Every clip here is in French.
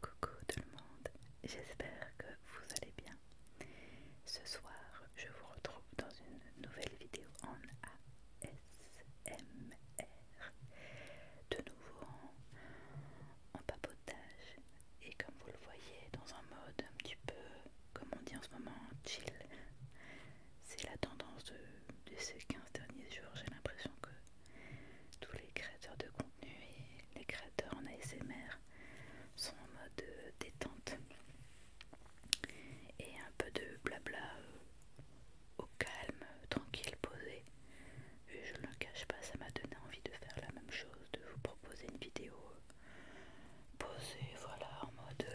Coucou tout le monde, j'espère que vous allez bien. Ce soir, je vous retrouve dans une nouvelle vidéo en ASMR. De nouveau en, papotage et comme vous le voyez, dans un mode un petit peu, comme on dit en ce moment, chill. C'est la tendance de, ces 15 derniers jours, j'ai l'impression que tous les créateurs de contenu les créateurs en ASMR sont en mode euh, détente et un peu de blabla euh, au calme, tranquille, posé. Et je ne le cache pas, ça m'a donné envie de faire la même chose, de vous proposer une vidéo euh, posée, voilà, en mode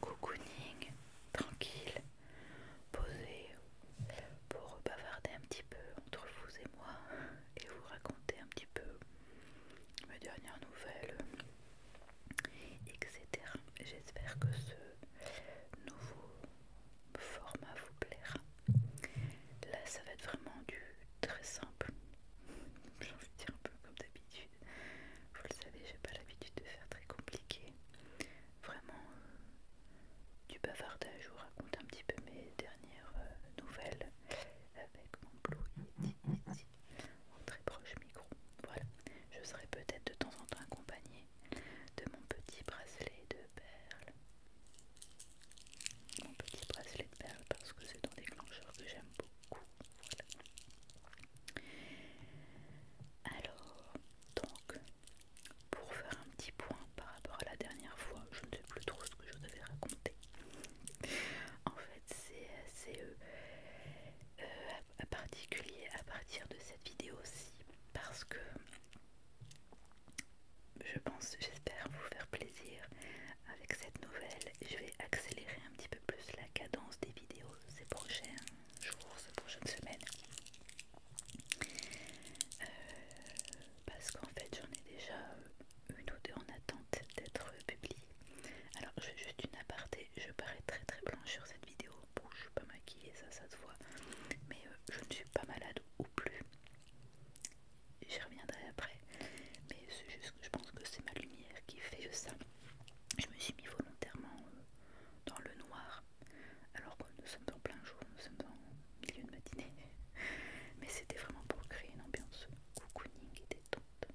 cocooning, tranquille, poser pour bavarder un petit peu entre vous et moi et vous raconter un petit peu mes dernières nouvelles, etc. J'espère que ce nouveau format vous plaira. Là, ça va être vraiment du très simple. J'en envie dire un peu comme d'habitude. Vous le savez, j'ai pas l'habitude de faire très compliqué vraiment euh, du bavardage. Je vous raconte un petit peu mes dernières euh, nouvelles avec mon Blue très proche micro. Voilà, je serai peut-être de temps en temps accompagnée de mon petit bracelet de perles. Mon petit bracelet de perles parce que c'est un déclencheur que j'aime beaucoup. Voilà. Alors, donc, pour faire un petit point par rapport à la dernière fois, je ne sais plus trop ce que je vous avais raconté. en fait, c'est assez euh, euh, particulier à partir de cette vidéo-ci parce que je pense, j'espère vous faire plaisir avec cette nouvelle. Je vais accélérer un petit peu plus la cadence des vidéos ces prochains jours, ces prochaines semaines. Euh, parce qu'en fait j'en ai déjà euh, une ou deux en attente d'être publiée. Alors je fais juste une aparté, je parais très très blanche sur cette vidéo. Bon je suis pas maquillée, ça ça se voit. Mais euh, je ne suis pas malade ou plus. J'y reviendrai après. Mais c'est juste que je pense que c'est ma lumière qui fait ça. Je me suis mis volontairement dans le noir alors que nous sommes en plein jour, nous sommes en milieu de matinée mais c'était vraiment pour créer une ambiance cocooning et détente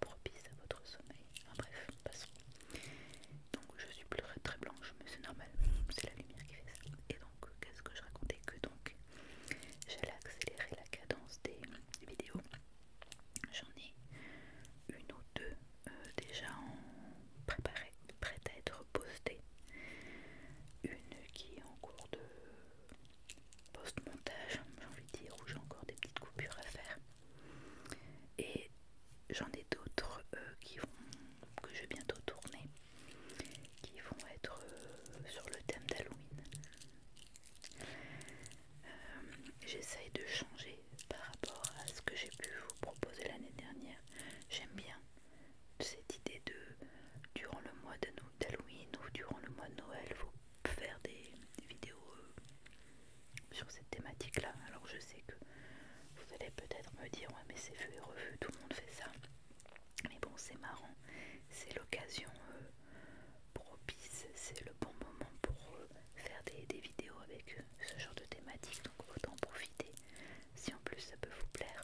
propice à votre sommeil. Enfin bref, passons. Donc je suis plus très blanche, mais c'est normal, c'est la lumière qui fait ça. Et donc, euh, qu'est-ce que je racontais Que donc, j'allais accélérer la cadence des vidéos. J'en ai une ou deux euh, déjà en préparé, prête à être postée Une qui est en cours de post-montage, j'ai envie de dire, où j'ai encore des petites coupures à faire. Et j'en ai d'autres euh, qui vont que je vais bientôt tourner, qui vont être euh, sur le thème d'Halloween. Euh, j'essaye de changer par rapport à ce que j'ai pu vous proposer l'année dernière. J'aime bien cette idée de durant le mois d'Halloween ou durant le mois de Noël, vous faire des vidéos euh, sur cette thématique là. Alors je sais que vous allez peut-être me dire ouais mais c'est vu et revu, tout le monde fait ça. Mais bon c'est marrant, c'est l'occasion euh, propice, c'est le bon moment pour euh, faire des, vidéos avec ce genre de thématique, donc autant profiter si en plus ça peut vous plaire.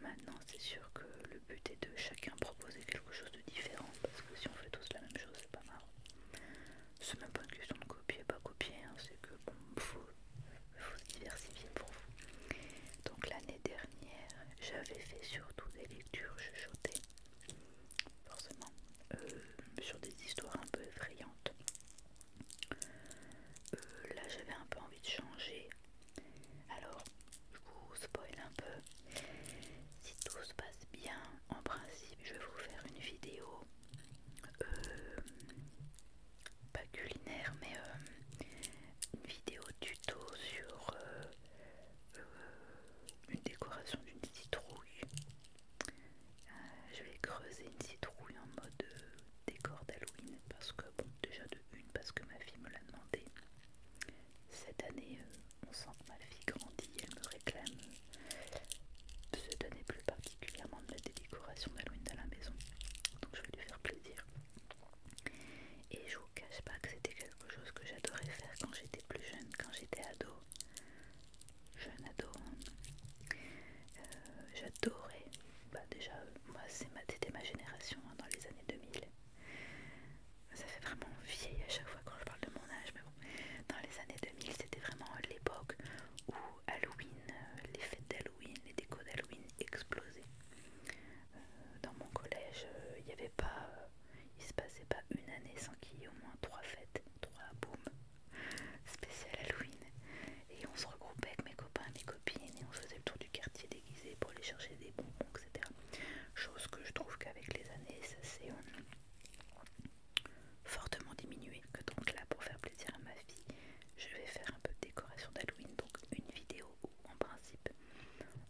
Maintenant, c'est sûr que le but est de chacun proposer quelque chose de différent parce que si on fait tous la même chose, c'est pas marrant. C'est même pas une question de copier, pas copier, hein, c'est que bon, faut, faut se diversifier pour vous. Donc l'année dernière, j'avais fait surtout des lectures chuchotées, forcément, euh, sur des histoires un peu effrayantes. Euh, là, j'avais un peu envie de changer alors, je vous spoil un peu. Si tout se passe bien, en principe, je vais vous faire une vidéo euh, pas culinaire, mais euh, une vidéo tuto sur euh, une décoration d'une citrouille. je vais creuser une citrouille en mode décor d'Halloween parce que bon déjà de une parce que ma fille me l'a demandé. Cette année, euh, on sent que ma fille grandit, elle me réclame de euh, cette année plus particulièrement de la décoration d'Halloween à la maison. Donc je vais lui faire plaisir. Et je vous cache pas que c'était quelque chose que j'adorais faire quand j'étais plus jeune, quand j'étais ado. Jeune ado. Hein. Euh, j'adorais bah, déjà, moi c'était ma génération hein, dans les années 2000. Ça fait vraiment vieille à chaque fois quand je parle de mon âge, mais bon, dans les années 2000, c'était vraiment l'époque où Halloween, euh, les fêtes d'Halloween, les décos d'Halloween explosaient. Euh, dans mon collège, euh, il y avait pas, il se passait pas une année sans qu'il y ait au moins trois fêtes, trois booms spéciales Halloween, et on se se avec mes copains et mes copines et on faisait le tour du quartier déguisé pour aller chercher des bonbons, etc. Chose que je trouve qu'avec les années, ça s'est euh, fortement diminué. Que donc là, pour faire plaisir à ma fille, je vais faire un peu de décoration d'Halloween, donc une vidéo où, en principe,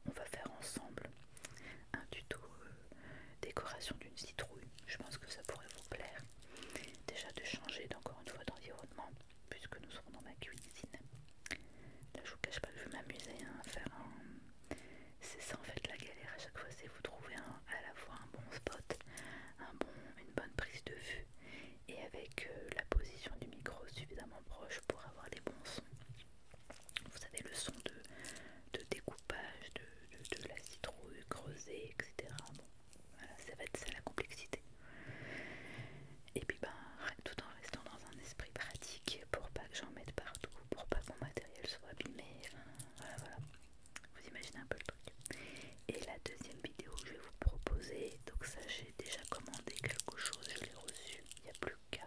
on va faire ensemble un tuto euh, décoration d'une citrouille. Je pense que ça pourrait vous plaire. Déjà de changer encore une fois d'environnement, puisque nous serons dans ma cuisine. Là je vous cache pas que je vais m'amuser hein, à faire C'est ça en fait la galère à chaque fois, c'est vous trouver à la fois un bon spot, bon, une bonne prise de vue et avec euh, la position du micro suffisamment proche pour avoir les bons sons. Vous savez le son de, découpage, de, la citrouille creusée, etc. Bon, ça va être ça la complexité. Et puis bah tout en restant dans un esprit pratique pour pas que j'en mette partout, pour pas que mon matériel soit abîmé, voilà voilà. Vous imaginez un peu le truc. Et la deuxième vidéo que je vais vous proposer, donc ça j'ai déjà commandé quelque chose, je l'ai reçu, il n'y a plus qu'à.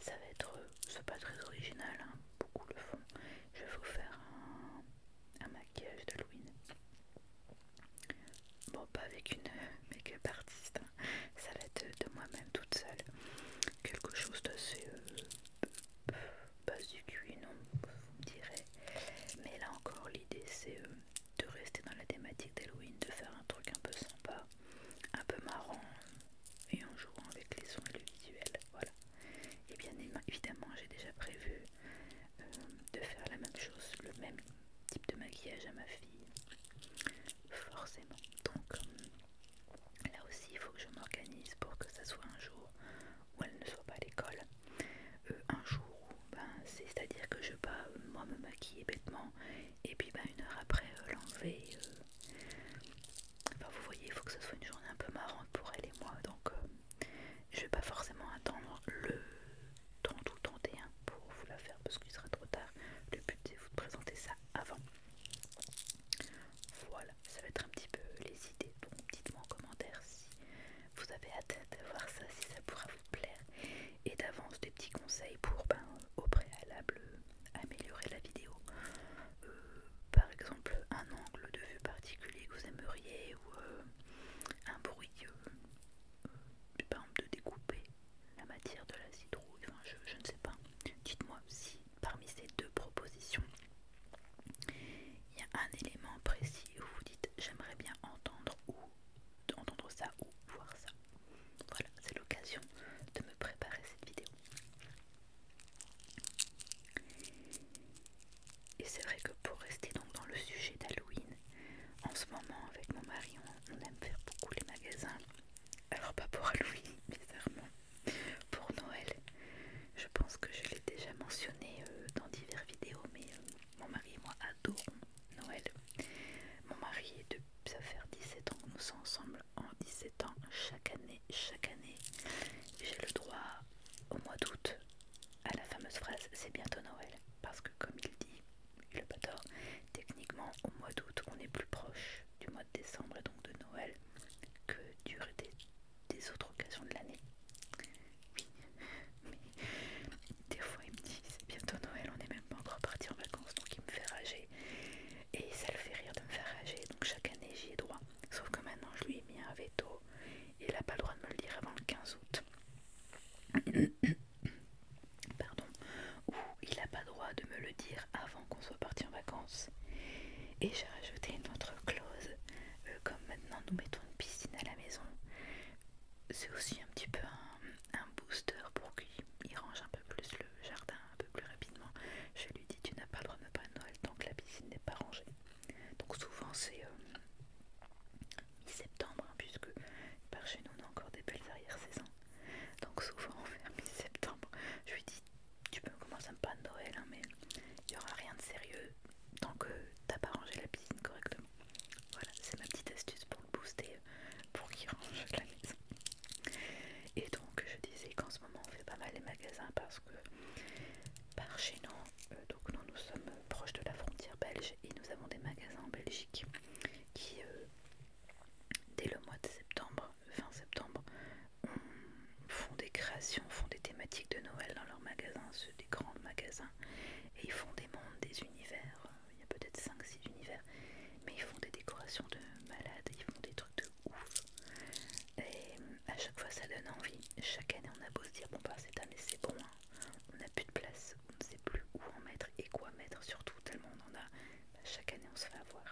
Ça va être, euh, c'est pas très original, hein, beaucoup le font. Je vais vous faire un, un maquillage d'Halloween. Bon, pas avec une make-up artiste, hein. ça va de moi-même toute seule. Quelque chose d'assez base du cul non, vous me direz. Mais là encore, l'idée c'est euh, de rester dans la thématique d'Halloween, de faire un truc un peu sympa, un peu marrant, et en jouant avec les sons et Voilà. Et bien évidemment, j'ai déjà prévu euh, de faire la même chose, le même type de maquillage à ma fille, forcément. Donc euh, là aussi, il faut que je m'organise pour que ça soit un jour où elle ne soit pas à l'école. Euh, un jour où, ben, c'est-à-dire que je vais pas euh, moi me maquiller bêtement et puis ben, une heure après l'enlever. Enfin, vous voyez, il faut que ce soit une journée un peu marrante pour elle et moi, donc je vais pas forcément attendre le, 30 ou 31 pour vous la faire parce qu'il sera trop tard. Le but c'est vous présenter ça avant. Voilà, ça va être un petit peu les idées. Donc dites-moi en commentaire si vous avez hâte de voir ça, si ça pourra vous plaire. Et d'avance des petits conseils pour ben, au préalable améliorer la vidéo. Euh, par exemple, un angle de vue particulier que vous aimeriez ou euh, un bruit euh, par exemple de découper la matière de la citrouille, enfin, je, ne sais pas. Dites-moi si parmi ces deux propositions, il y a un élément précis où vous dites j'aimerais bien entendre ou entendre ça ou voir ça. Voilà, c'est l'occasion de me préparer cette vidéo. Et c'est vrai que pour rester donc dans le sujet d'Halloween, en ce moment, avec mon mari, on, aime faire beaucoup les magasins. Alors, pas pour Halloween, bizarrement, pour Noël. Je pense que je l'ai déjà mentionné euh, dans divers vidéos, mais euh, mon mari et moi adorons Noël. Mon mari est de ça faire 17 ans que nous sommes ensemble en 17 ans chaque année, chaque année. J'ai le droit au mois d'août à la fameuse phrase c'est bientôt Noël parce que comme il dit, le tort. Techniquement, au mois d'août, on est plus proche du mois de décembre et donc de Noël que du des, autres occasions de l'année. Oui, mais des fois il me dit c'est bientôt Noël, on n'est même pas encore parti en vacances, donc il me fait rager. Et ça le fait rire de me faire rager, donc chaque année j'y ai droit. Sauf que maintenant je lui ai mis un veto et il n'a pas le droit de me le dire avant le 15 août. Pardon, où il n'a pas droit de me le dire avant qu'on soit parti en vacances. Et j'ai rajouté une autre clause, euh, comme maintenant nous mettons une piscine à la maison, c'est aussi un petit peu un, booster pour qu'il range un peu plus le jardin un peu plus rapidement. Je lui dis tu n'as pas le droit de me Noël tant que la piscine n'est pas rangée. Donc souvent c'est euh, mi-septembre, hein, puisque par chez nous on a encore des belles arrière-saisons. Donc souvent en mi-septembre, je lui dis tu peux commencer un pan de Noël, mais il n'y aura rien de sérieux tant que t'as pas rangé la piscine correctement. Voilà, c'est ma petite astuce pour le booster, pour qu'il range la maison. Et donc je disais qu'en ce moment on fait pas mal les magasins parce que par chez nous, euh, donc nous sommes proches de la frontière belge et nous avons des magasins en Belgique qui euh, dès le mois de septembre, fin septembre, font des créations, font des thématiques de Noël dans leurs magasins, ceux des grands magasins, et ils font des mondes, des univers, euh, il y a peut-être 5-6 univers, mais ils font des décorations de malades, ils font des trucs de ouf. Et euh, à chaque fois ça donne envie. Chaque année on a beau se dire bon bah un année c'est bon, hein. on n'a plus de place, on ne sait plus où en mettre et quoi mettre surtout tellement on en a bah, chaque année on se fait avoir.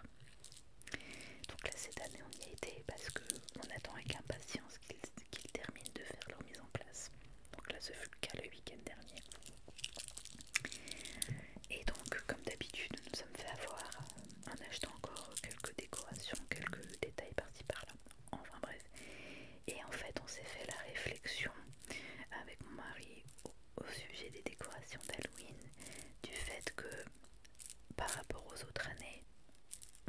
Donc là cette année on y a été parce qu'on attend avec impatience qu'ils terminent de faire leur mise en place. Donc là ce fut le cas le week-end dernier. Et donc comme d'habitude nous nous sommes fait avoir en achetant encore quelques décorations, quelques détails par-ci par-là. Enfin bref. Et en fait on s'est fait la réflexion avec mon mari au, sujet des décorations d'Halloween, du fait que par rapport aux autres années,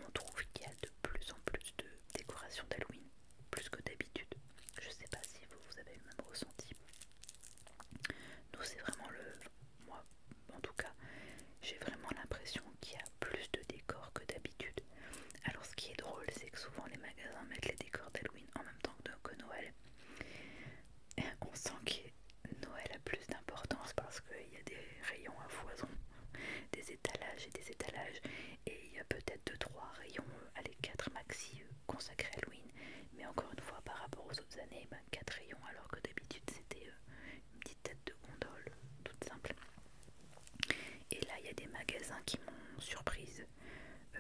on trouve qu'il y a de plus en plus de décorations d'Halloween, plus que d'habitude. Je sais pas si vous, vous avez même ressenti. Nous, c'est vraiment le. Moi, en tout cas, j'ai vraiment l'impression qu'il y a plus de décors que d'habitude. Alors, ce qui est drôle, c'est que souvent les magasins mettent les décors d'Halloween en même temps que Noël. On sent que Noël a plus d'importance parce qu'il y a des rayons à foison, des étalages et des étalages, et il y a peut-être 2-3 rayons, euh, allez 4 maxi euh, consacrés à Halloween, mais encore une fois par rapport aux autres années, 4 ben, rayons alors que d'habitude c'était euh, une petite tête de gondole toute simple. Et là il y a des magasins qui m'ont surprise euh,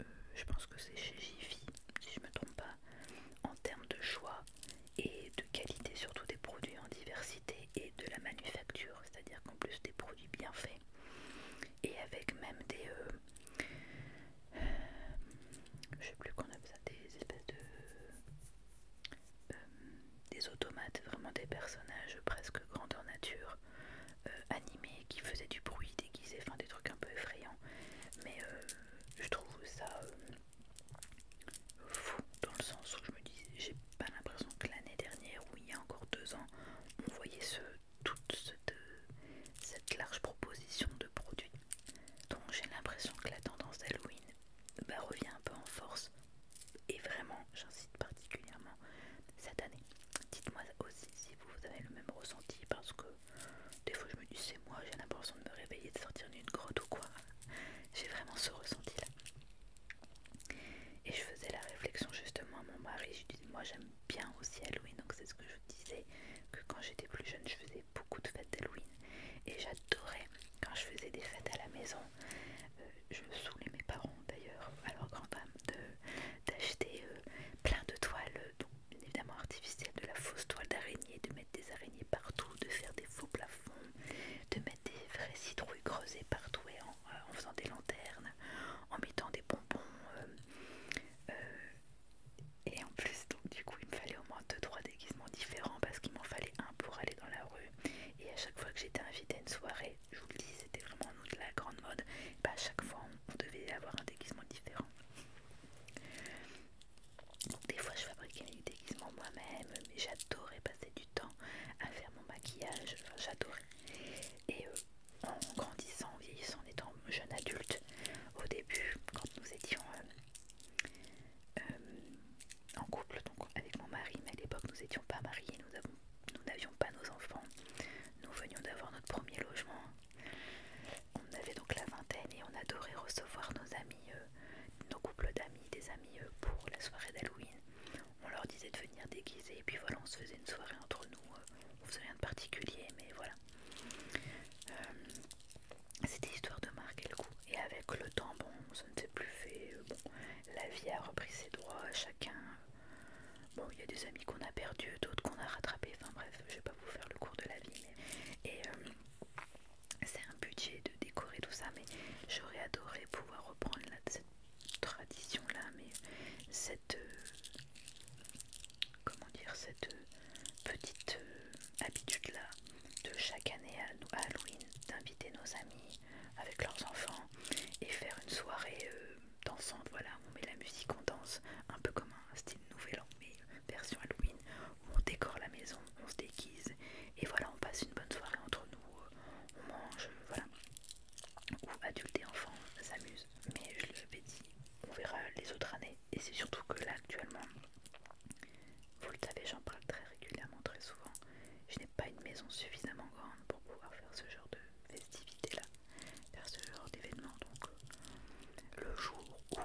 euh, je pense que c'est chez Jiffy, si je ne me trompe pas, en termes de choix et de qualité, surtout des produits en diversité et de la manufacture, c'est-à-dire qu'en plus des produits bien faits et avec même des. Euh, je sais plus qu'on a ça, des espèces de. des automates, vraiment des personnages presque en nature euh, animés qui faisaient du bruit déguisés, enfin des trucs un peu effrayants. Mais euh, je trouve ça euh, fou dans le sens où je me dis, j'ai pas l'impression que l'année dernière ou il y a encore deux ans, on voyait ce, toute cette, large proposition de produits. Donc j'ai l'impression que la tendance d'Halloween bah, revient un peu en force. Et vraiment, j'incite particulièrement cette année. Dites-moi aussi si vous avez le même ressenti parce que des fois je me dis c'est moi, j'ai l'impression de me réveiller, de sortir d'une grotte ou quoi. J'ai vraiment ce ressenti là. Et je faisais la réflexion justement à mon mari, je dis moi j'aime bien aussi Halloween, donc c'est ce que je disais, que quand j'étais plus jeune je faisais beaucoup de fêtes d'Halloween et j'adorais quand je faisais des fêtes à la maison. Euh, je saoulais mes parents d'ailleurs, alors grand dame de d'acheter euh, plein de toiles, euh, donc évidemment artificielles, de la fausse toile d'araignée, de mettre des araignées partout, de faire des faux plafonds, de mettre des vraies citrouilles creusées partout et en, euh, faisant des lanternes, en mettant des bonbons. et en plus, donc du coup, il me fallait au moins 2-3 déguisements différents parce qu'il m'en fallait un pour aller dans la rue. Et à chaque fois que j'étais invitée à une soirée, je vous le dis, c'était vraiment de la grande mode. pas bah, à chaque fois, on devait avoir différents. des fois, je fabriquais des déguisements moi-même, mais j'adorais passer du temps à faire mon maquillage. j'adorais. Et euh, en grandissant, en vieillissant, en étant jeune adulte, au début, quand nous étions euh, euh, en couple, avec mon mari, mais à l'époque, nous n'étions pas mariés, nous n'avions pas nos enfants. Nous venions d'avoir notre premier logement on avait donc la vingtaine et on adorait recevoir nos amis, euh, nos couples d'amis, des amis euh, pour la soirée d'Halloween. On leur disait de venir déguiser et puis voilà, on se faisait une soirée entre nous. Euh, on faisait rien de particulier, mais voilà. C'était histoire de marquer le coup. Et avec le temps, bon, ça ne s'est plus fait. bon, la vie a repris ses droits, chacun Bon, il y a des amis qu'on a perdus, d'autres qu'on a rattrapés. Enfin bref, je vais pas vous faire le cours de la vie. Et euh, c'est un budget de décorer tout ça, mais j'aurais adoré pouvoir reprendre cette tradition-là, mais cette... Euh, comment dire Cette euh, petite habitude-là de chaque année à Halloween d'inviter nos amis avec leurs enfants et faire une soirée dansant, voilà, on met la musique, on danse, un peu comme un style nouvel an, mais version Halloween, on décore la maison, on se déguise, et voilà, on passe une bonne soirée entre nous, euh, on mange, euh, voilà, ou adultes et enfants s'amusent, mais je l'avais dit, on verra les autres années, et c'est surtout que là, actuellement, vous le savez, j'en parle très régulièrement, très souvent, je n'ai pas une maison suffisamment grande pour pouvoir faire ce genre de festivité là vers ce genre d'événement. Donc, euh, le jour où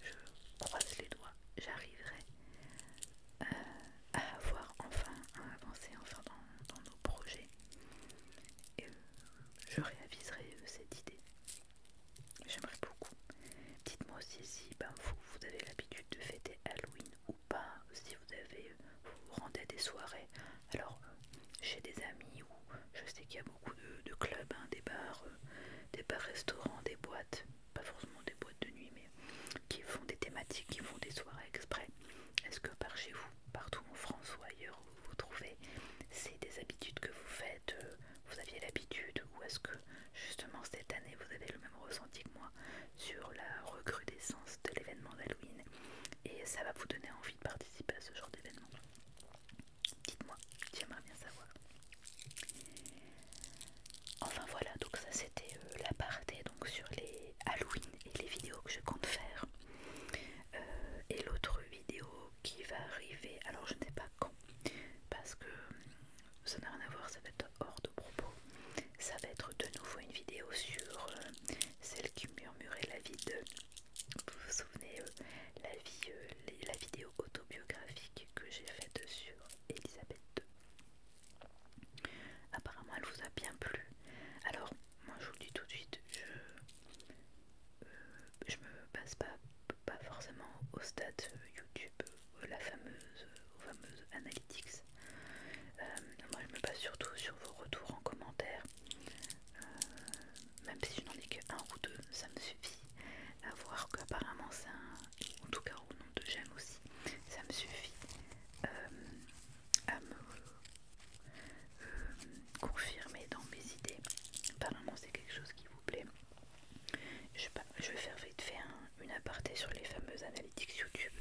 je croise les doigts, j'arriverai euh, à avoir enfin à avancer enfin dans, nos projets et euh, je réaviserai cette idée. J'aimerais beaucoup. Dites-moi aussi si ben, vous, avez l'habitude de fêter Halloween ou pas, si vous avez vous, rendez des soirées alors chez des amis je sais qu'il y a beaucoup de, clubs, hein, des bars, euh, des bars-restaurants, des boîtes, pas forcément des boîtes de nuit, mais qui font des thématiques, qui font des soirées exprès. Est-ce que par chez vous, partout en France ou ailleurs où vous vous trouvez, c'est des habitudes que vous faites, euh, vous aviez l'habitude, ou est-ce que justement cette année vous avez le même ressenti que moi sur la recrudescence de l'événement d'Halloween et ça va vous donner envie de participer à ce genre d'événement Dites-moi, j'aimerais bien savoir. Enfin voilà, donc ça c'était euh, la partie donc sur les Halloween et les vidéos que je compte faire. Euh, et l'autre vidéo qui va arriver, alors je ne pas quand, parce que euh, ça n'a rien à voir, ça va être hors de propos. Ça va être de nouveau une vidéo sur celle qui murmurait la vie de vous vous souvenez euh, la, vie, euh, la vidéo autobiographique que j'ai faite sur Elisabeth II. Apparemment, elle vous a bien plu. Alors, moi, je vous dis tout de suite, je ne euh, me passe pas, pas forcément au stade YouTube, aux la fameuse, analytics. moi, je me passe surtout sur vos retours en commentaire même si je n'en ai que un ou deux, ça me suffit à voir qu'apparemment ça, en tout cas au nom de j'aime aussi, ça me suffit euh, à me euh, confirmer dans mes idées. Apparemment c'est quelque chose qui vous plaît. Je, je vais faire vite fait une aparté sur les fameuses analytics YouTube.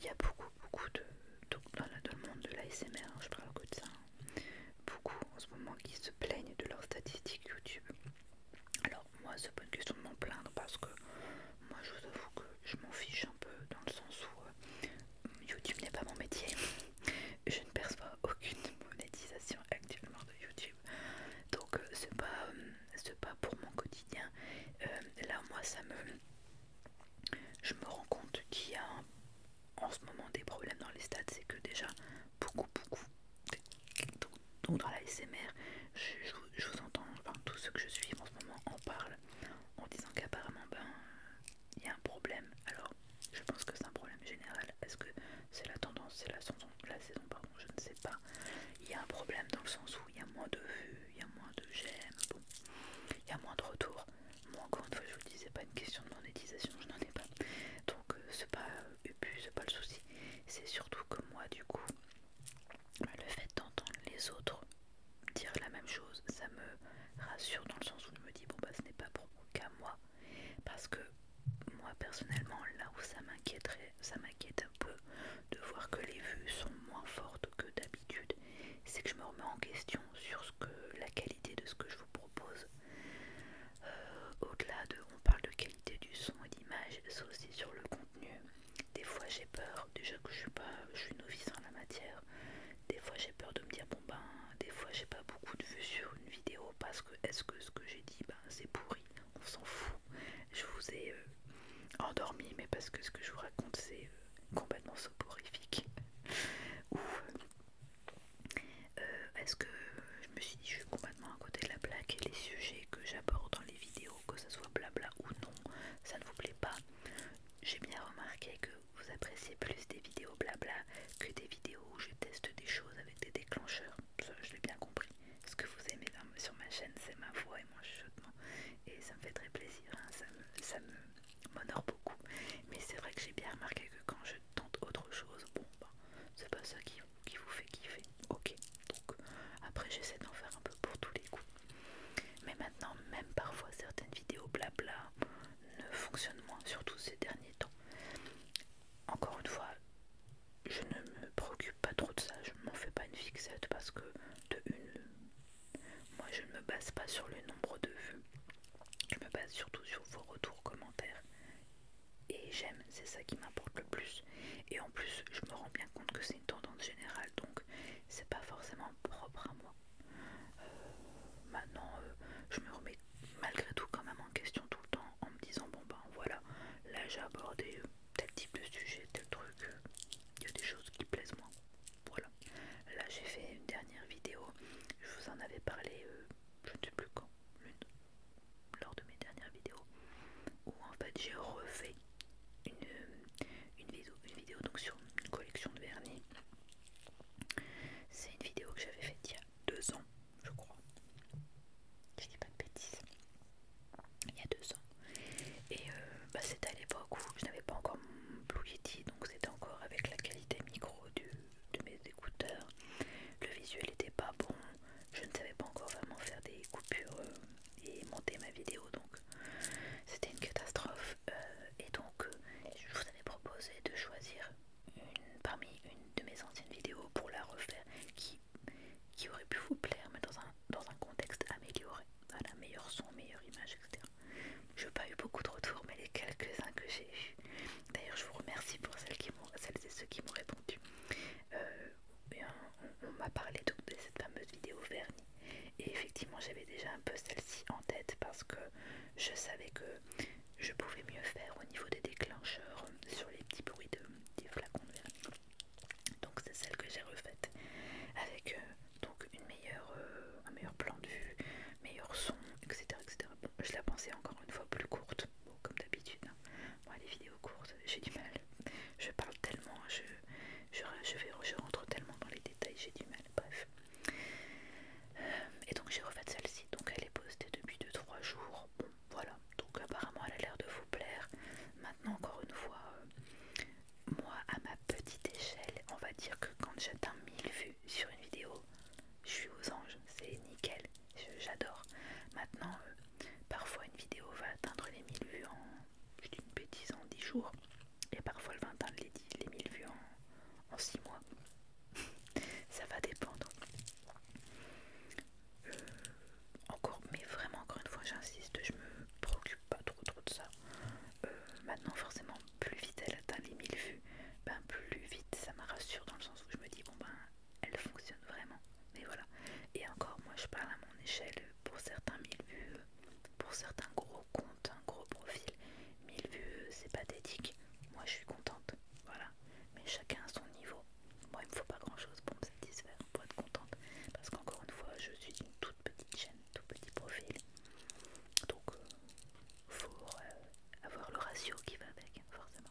Il y a beaucoup beaucoup de... dans, le monde de l'ASMR, hein, je parle que de ça. Hein beaucoup en ce moment qui se plaignent de leurs statistiques YouTube. Alors moi c'est pas une question de m'en plaindre parce que moi je vous avoue que je m'en fiche un peu dans le sens où euh, YouTube n'est pas mon métier. Je ne perçois aucune monétisation actuellement de YouTube. Donc euh, c'est pas, euh, pas pour mon quotidien. là moi ça me... Je me rends compte qu'il y a un en ce moment des problèmes dans les stades, c'est que déjà beaucoup, beaucoup, donc dans la SMR, je, vous entends, enfin tous ceux que je suis en ce moment en parlent en disant qu'apparemment, ben, il y a un problème. Alors, je pense que c'est un problème général. Est-ce que c'est la tendance, c'est la saison, la saison, pardon, je ne sais pas. Il y a un problème dans le sens où il y a moins de vues, il y a moins de j'aime, il y a moins de retours. Moi, encore une fois, je vous le dis, pas une question de monétisation, je n'en ai pas. Donc, euh, c'est pas euh, c'est pas le souci. C'est surtout que moi, du coup, le fait d'entendre les autres dire la même chose, ça me rassure dans le sens où je me dis, bon, bah, ce n'est pas pour aucun moi. Parce que moi, personnellement, là où ça m'inquiéterait, ça m'inquiète un peu de voir que les vues sont moins fortes que d'habitude, c'est que je me remets en question sur ce que la qualité de ce que je vous propose euh, au-delà de, on parle de qualité du son et d'image, c'est aussi sur le contenu. Des fois j'ai peur, déjà que je suis pas, je suis novice en la matière. Des fois j'ai peur de me dire bon ben, des fois j'ai pas beaucoup de vues sur une vidéo parce que est-ce que ce que j'ai dit, ben c'est pourri, on s'en fout. Je vous ai euh, endormi, mais parce que ce que je vous raconte c'est euh, complètement soporifique. ouf est-ce euh, que je me suis dit je suis complètement à côté de la plaque et les sujets que j'aborde dans les vidéos, que ce soit blabla ou non, ça ne vous plaît pas. J'ai bien remarqué que vous appréciez plus des vidéos blabla que des vidéos où je teste des choses avec des déclencheurs. Ça, je l'ai bien compris. Ce que vous aimez sur ma chaîne, c'est ma voix et mon chuchotement. Et ça me fait très plaisir. Hein. ça, me, m'honore beaucoup. Mais c'est vrai que j'ai bien remarqué que quand je tente autre chose, bon bah c'est pas ça qui, vous fait kiffer. Ok, donc après j'essaie d'en faire un peu pour tous les coups. Mais maintenant, même parfois certaines vidéos blabla ne fonctionnent moins, surtout ces derniers temps. Encore une fois, je ne me préoccupe pas trop de ça, je m'en fais pas une fixette parce que de une, moi je ne me base pas sur le nombre de vues. Je me base surtout sur vos retours, commentaires. Et j'aime, c'est ça qui m'importe le plus. Et en plus, je me rends bien compte que c'est une tendance générale, donc c'est pas forcément propre à moi. Euh, maintenant, euh, je me remets malgré tout quand même en question tout le temps en me disant bon ben voilà, là j'ai abordé euh, tel type de sujet, tel truc, il y a des choses qui plaisent moins. Voilà. Là j'ai fait une dernière vidéo, je vous en avais parlé je ne sais plus quand, lors de mes dernières vidéos, où en fait j'ai refait une, une, vidéo, donc sur une collection de vernis. C'est une vidéo que j'avais faite il y a deux ans, je crois. Je dis pas de bêtises. Il y a deux ans. Et euh, bah, c'était à l'époque où je n'avais pas encore mon Blue Yeti, donc c'était encore avec la qualité micro du, de mes écouteurs. Le visuel était pas bon. Je ne savais pas encore vraiment faire des coupures euh, et monter ma vidéo, donc c'était une catastrophe. Euh, et donc, euh, je vous avais proposé de choisir une parmi une de mes anciennes vidéos pour la refaire, qui, qui aurait pu vous plaire, mais dans un, dans un contexte amélioré. Voilà, meilleur son, meilleure image, etc. Je n'ai pas eu beaucoup de retours, mais les quelques-uns que j'ai eu D'ailleurs, je vous remercie pour celles, et ceux qui m'ont répondu. Euh, on, m'a parlé de cette fameuse vidéo vernis. Et effectivement, j'avais déjà un peu celle-ci en tête parce que je savais que je pouvais mieux faire au niveau des déclencheurs euh, sur les petits bruits de, des flacons de vernis. Donc c'est celle que j'ai refaite avec euh, donc une un meilleur plan de vue, meilleur son, etc. Bon, je la pensais encore une fois plus courte, comme d'habitude. moi hein. les vidéos courtes, j'ai du mal. Je parle tellement, je, vais, je rentre tellement dans les détails, j'ai du mal, bref. Euh, et donc j'ai refait celle-ci, donc elle est postée depuis 2-3 jours. Bon, voilà, donc apparemment elle a l'air de vous plaire. Maintenant, encore une fois, euh, moi à ma petite échelle, on va dire que quand j'atteins 1000 vues sur une vidéo, je suis aux anges, c'est nickel, j'adore. Maintenant, euh, parfois une vidéo va atteindre les 1000 vues en, une en 10 jours, et parfois elle va atteindre les, 1000 vues en, 6 mois. Ça va dépendre. Euh, encore, mais vraiment, encore une fois, j'insiste, je me préoccupe pas trop trop de ça. Euh, maintenant, forcément, plus vite elle atteint les 1000 vues, ben plus vite ça me rassure dans le sens où je me dis bon ben elle fonctionne vraiment. Mais voilà. Et encore moi je parle à mon échelle pour certains 1000 vues, pour certains gros comptes, un gros profil, 1000 vues c'est pathétique. Moi je suis contente, voilà. Mais chacun à son niveau. Moi il me faut pas grand chose pour me satisfaire, pour être contente. Parce qu'encore une fois je suis une toute petite chaîne, tout petit profil. Donc euh, pour euh, avoir le ratio qui va avec, forcément.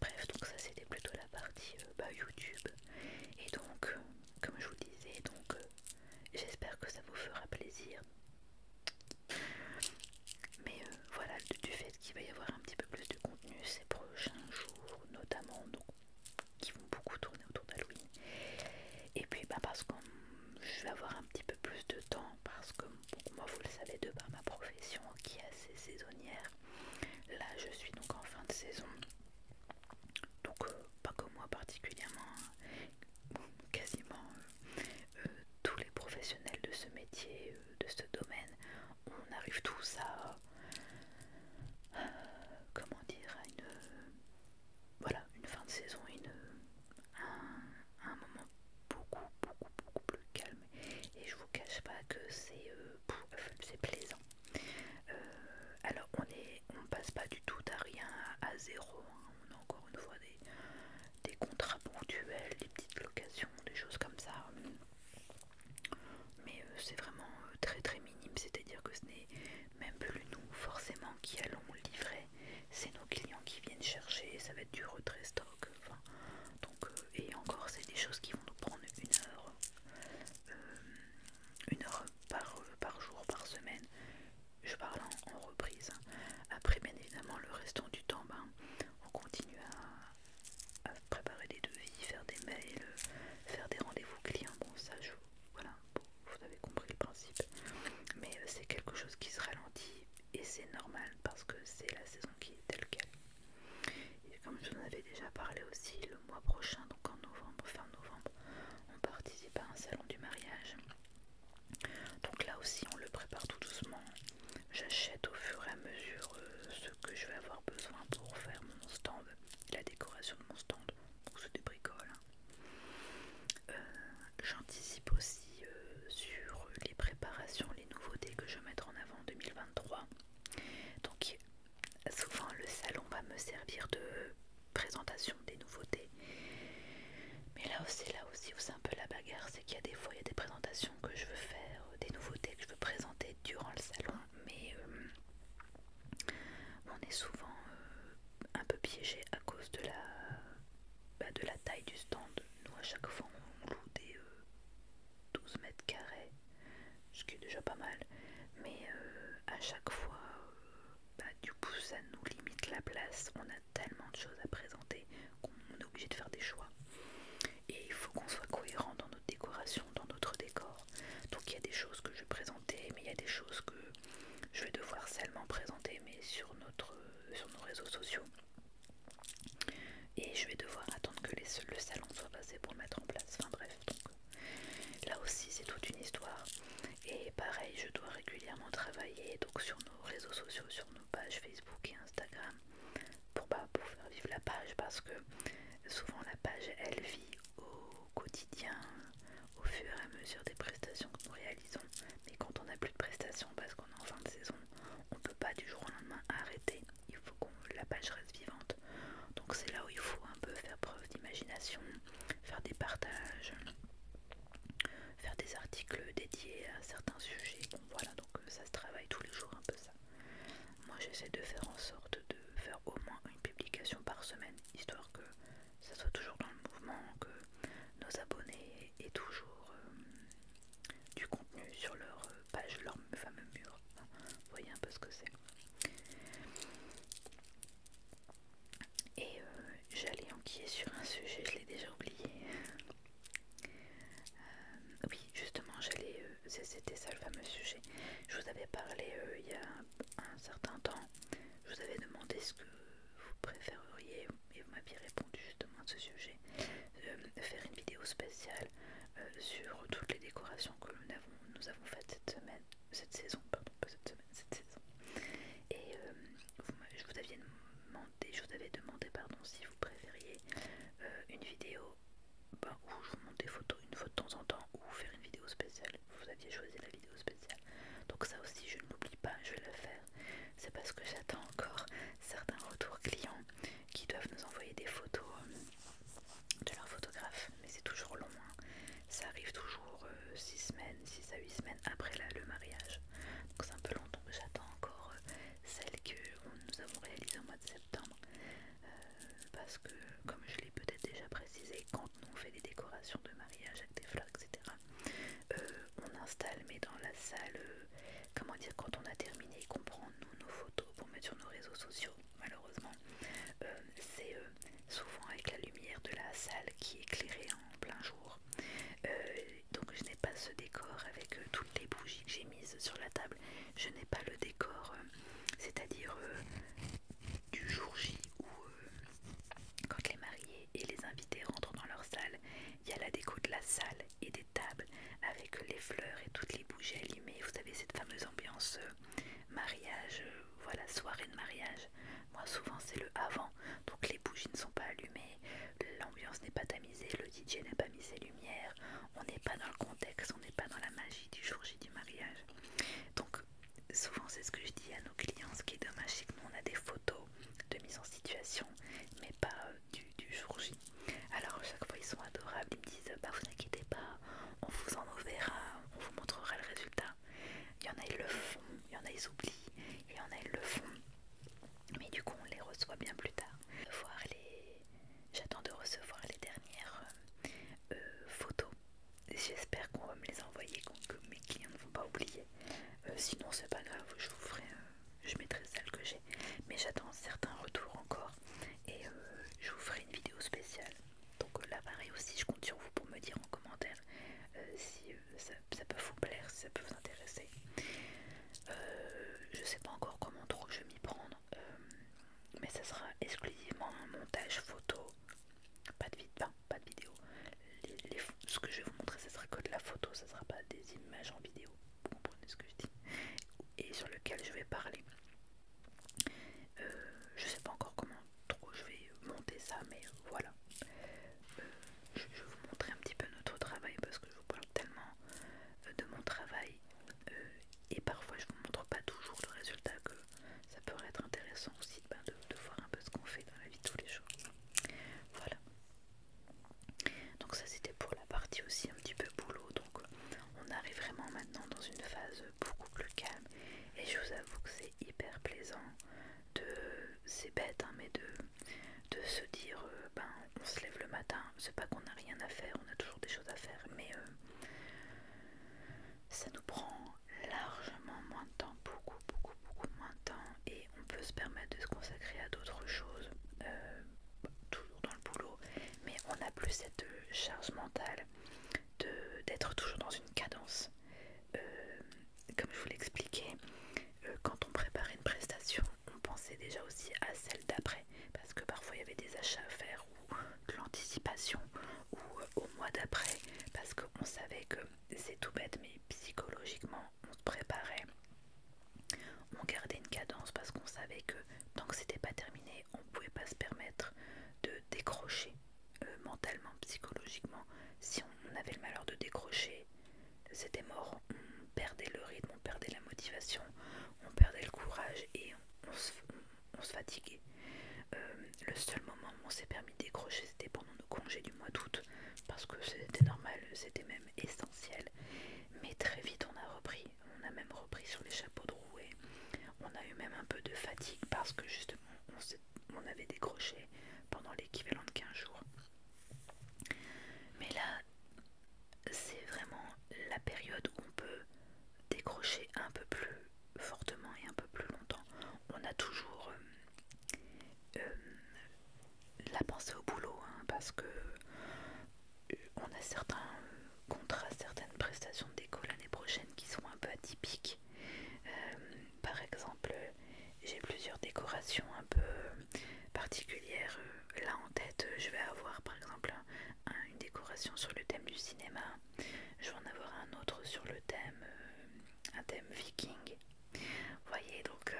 Bref, donc ça c'était plutôt la partie euh, bah, YouTube. Et donc, euh, comme je vous disais, donc j'espère que ça vous fera plaisir. Mais voilà, du, fait qu'il va y avoir un petit peu plus de contenu ces prochains jours, notamment, donc, qui vont beaucoup tourner autour d'Halloween. Et puis, bah, parce que je vais avoir un petit peu plus de temps parce que moi vous le savez de par ma profession qui est assez saisonnière. Là je suis donc en fin de saison. Donc euh, pas que moi particulièrement, hein. quasiment euh, tous les professionnels de ce métier, euh, de ce domaine, on arrive tous à comment dire à une voilà une fin de saison, une un moment beaucoup, beaucoup, beaucoup plus calme. Et je vous cache pas que c'est euh, plaisant. Euh, alors on est, on passe pas du tout à rien, à, zéro. Hein. On a encore une fois des, contrats ponctuels, des petites locations, des choses comme ça. Mais euh, c'est vraiment très très minime, c'est-à-dire que ce n'est même plus nous forcément qui allons livrer c'est nos clients qui viennent chercher, ça va être du retrait stock, donc, euh, et encore c'est des choses qui vont nous prendre une heure, euh, heure par, euh, par jour, par semaine, je parle en, reprise, hein. après bien évidemment le restant du temps, ben, on continue à, préparer des devis, faire des mails, faire des rendez-vous clients, bon ça je... Voilà, vous avez compris le principe, mais c'est quelque chose qui se ralentit et c'est normal parce que c'est la saison qui est telle qu'elle. Et comme je vous en avais déjà parlé aussi, le mois prochain, donc en novembre, fin novembre, on participe à un salon du mariage. Donc là aussi, on le prépare tout doucement. J'achète au fur et à mesure euh, ce que je vais avoir besoin pour faire mon stand, la décoration de mon stand. Donc ce des hein. euh, J'anticipe aussi euh, sur les préparations, les nouveautés que je vais mettre en avant en 2023. Donc souvent le salon va me servir de présentation des nouveautés. Mais là aussi, là aussi c'est un peu la bagarre, c'est qu'il y a des fois il y a des présentations que je veux faire, euh, des nouveautés que je veux présenter durant le salon, mais euh, on est souvent un peu piégé à cause de la bah, de la taille du stand. Nous, à chaque fois, on loue des 12 euh, mètres carrés, ce qui est déjà pas mal. Mais euh, à chaque fois, euh, bah, du coup, ça nous limite la place. On a tellement de choses à présenter qu'on est obligé de faire des choix. Et il faut qu'on soit cohérent dans notre décoration, dans notre décor. Donc il y a des choses que je vais présenter, mais il y a des choses que je vais devoir seulement présenter, mais sur, notre, sur nos réseaux sociaux. Et je vais devoir attendre que les, le salon soit passé pour le mettre en place. Enfin bref, donc euh, là aussi c'est toute une histoire. Et pareil, je dois régulièrement travailler donc sur nos réseaux sociaux, sur nos pages Facebook et Instagram pour, pas bah, pour faire vivre la page parce que souvent la page elle vit au quotidien, au fur et à mesure des prestations que nous réalisons mais quand on n'a plus de prestations parce qu'on est en fin de saison, on ne peut pas du jour au lendemain arrêter. Il faut que la page reste vivante. Donc c'est là où il faut un peu faire preuve d'imagination, faire des partages, faire des articles dédiés à certains sujets. Bon voilà, donc euh, ça se travaille tous les jours un peu ça. Moi j'essaie de faire en sorte de faire au moins une publication par semaine, histoire que ça soit toujours dans le mouvement, que nos abonnés aient toujours euh, du contenu sur leur euh, page, leur fameux mur. voyez un peu ce que c'est. Et euh, j'allais enquiller sur un sujet, je l'ai déjà oublié. Euh, oui, justement, j'allais. C'était ça le fameux sujet. Je vous avais parlé il y a un certain temps. Je vous avais demandé ce que vous préféreriez et vous m'aviez répondu justement à ce sujet, euh, de faire une vidéo spéciale euh, sur toutes les décorations que nous avons, nous avons faites cette semaine, cette saison, pas cette semaine, cette saison. Et euh, je, vous avais demandé, je vous avais demandé, pardon, si vous préfériez une vidéo ben, où je vous montre des photos une fois de temps en temps ou faire une vidéo spéciale. Vous aviez choisi la vidéo spéciale. Donc ça aussi, je ne l'oublie pas, je vais la faire c'est parce que j'attends encore certains retours clients qui doivent nous envoyer des photos euh, de leur photographe mais c'est toujours long. Hein. Ça arrive toujours 6 euh, semaines, 6 à 8 semaines après le mariage. Donc c'est un peu longtemps que j'attends encore euh, celle que nous avons réalisée au mois de septembre. parce que, comme je l'ai peut-être déjà précisé, quand nous on fait des décorations de mariage avec des fleurs, etc., euh, on installe mais dans la salle, euh, comment dire, quand on a terminé qu'on prend nos photos pour mettre sur nos réseaux sociaux, malheureusement, euh, c'est souvent avec la lumière de la salle qui est éclairée en plein jour. donc je n'ai pas ce décor avec toutes les bougies que j'ai mises sur la table. Je n'ai pas le décor, c'est-à-dire du jour J ou quand les mariés et les invités rentrent dans leur salle il y a la déco de la salle et des tables avec les fleurs et toutes les bougies allumées. Vous savez, cette fameuse ambiance euh, mariage, euh, voilà, soirée de mariage. Moi, souvent, c'est le avant. Donc, les bougies ne sont pas allumées, l'ambiance n'est pas tamisée, le DJ n'a pas mis ses lumières. On n'est pas dans le contexte, on n'est pas dans la magie du jour J du mariage. Donc, souvent, c'est ce que je dis à nos clients. Ce qui est dommage, c'est nous, on a des photos de mise en situation, mais pas euh, du, jour J. Alors à chaque fois ils sont adorables, ils me disent bah vous inquiétez pas, on vous en enverra, on vous montrera le résultat. Il y en a ils le font, il y en a ils oublient, il y en a ils le font. Mais du coup on les reçoit bien plus tard. Les... J'attends de recevoir les dernières euh, photos. J'espère qu'on va me les envoyer, que mes clients ne vont pas oublier. Euh, sinon c'est pas grave, je vous ferai je mettrai celle que j'ai. Mais j'attends certains retours encore et euh, je vous ferai une vidéo spéciale. Donc euh, là pareil aussi, je compte sur vous pour me dire en commentaire euh, si ça, peut vous plaire, si ça peut vous intéresser. Je je sais pas encore comment trop je vais m'y prendre, mais ça sera exclusivement un montage photo, pas de, pas de vidéo. ce que je vais vous montrer, ce sera que de la photo, ça sera pas des images en vidéo vous comprenez ce que je dis, et sur lequel je vais parler. Je euh, je sais pas encore comment trop je vais monter ça, mais voilà. Euh, je vais vous montrer un petit peu notre travail parce que je vous parle tellement euh, de mon travail et parfois je vous montre pas toujours le résultat que ça peut être intéressant aussi ben, de, de voir un peu ce qu'on fait dans la vie de tous les jours. Voilà. Donc ça c'était pour la partie aussi un petit peu boulot. Donc euh, on arrive vraiment maintenant dans une phase beaucoup plus calme. Et je vous avoue que c'est hyper plaisant de... C'est bête hein, mais de, de se dire, euh, ben on se lève le matin. C'est pas qu'on a rien à faire, on a toujours des choses à faire. Mais euh, ça nous prend largement moins de temps, beaucoup, beaucoup, beaucoup moins de temps. Et on peut se permettre de se consacrer à d'autres choses toujours dans le boulot, mais on n'a plus cette euh, charge mentale d'être toujours dans une cadence. Euh, comme je vous l'expliquais, euh, quand on préparait une prestation, on pensait déjà aussi à celle d'après, parce que parfois il y avait des achats à faire ou de l'anticipation ou au mois d'après, parce qu'on savait que c'est tout bête, mais psychologiquement on se préparait on gardait une cadence parce qu'on savait que tant que c'était pas terminé, on pouvait pas se permettre de décrocher euh, mentalement, psychologiquement. Si on avait le malheur de décrocher, c'était mort. On perdait le rythme, on perdait la motivation, on perdait le courage et on, se, fatiguait. Euh, le seul moment où on s'est permis de décrocher, c'était pendant nos congés du mois d'août, parce que c'était normal, c'était même essentiel. Mais très vite on a repris, on a même repris sur les chapeaux de rouet, on a eu même un peu de fatigue parce que justement on, avait décroché pendant l'équivalent de 15 jours. Mais là c'est vraiment la période où on peut décrocher un peu plus fortement et un peu plus longtemps. On a toujours euh, euh, la pensée au boulot, hein, parce que euh, on a certains contrats, certaines prestations de déco l'année prochaine qui sont un peu atypiques. Euh, par exemple, j'ai plusieurs décorations un peu particulières. Euh, là en tête, je vais avoir par exemple une décoration sur le thème du cinéma. Je vais en avoir un autre sur le thème, thème viking. voyez, donc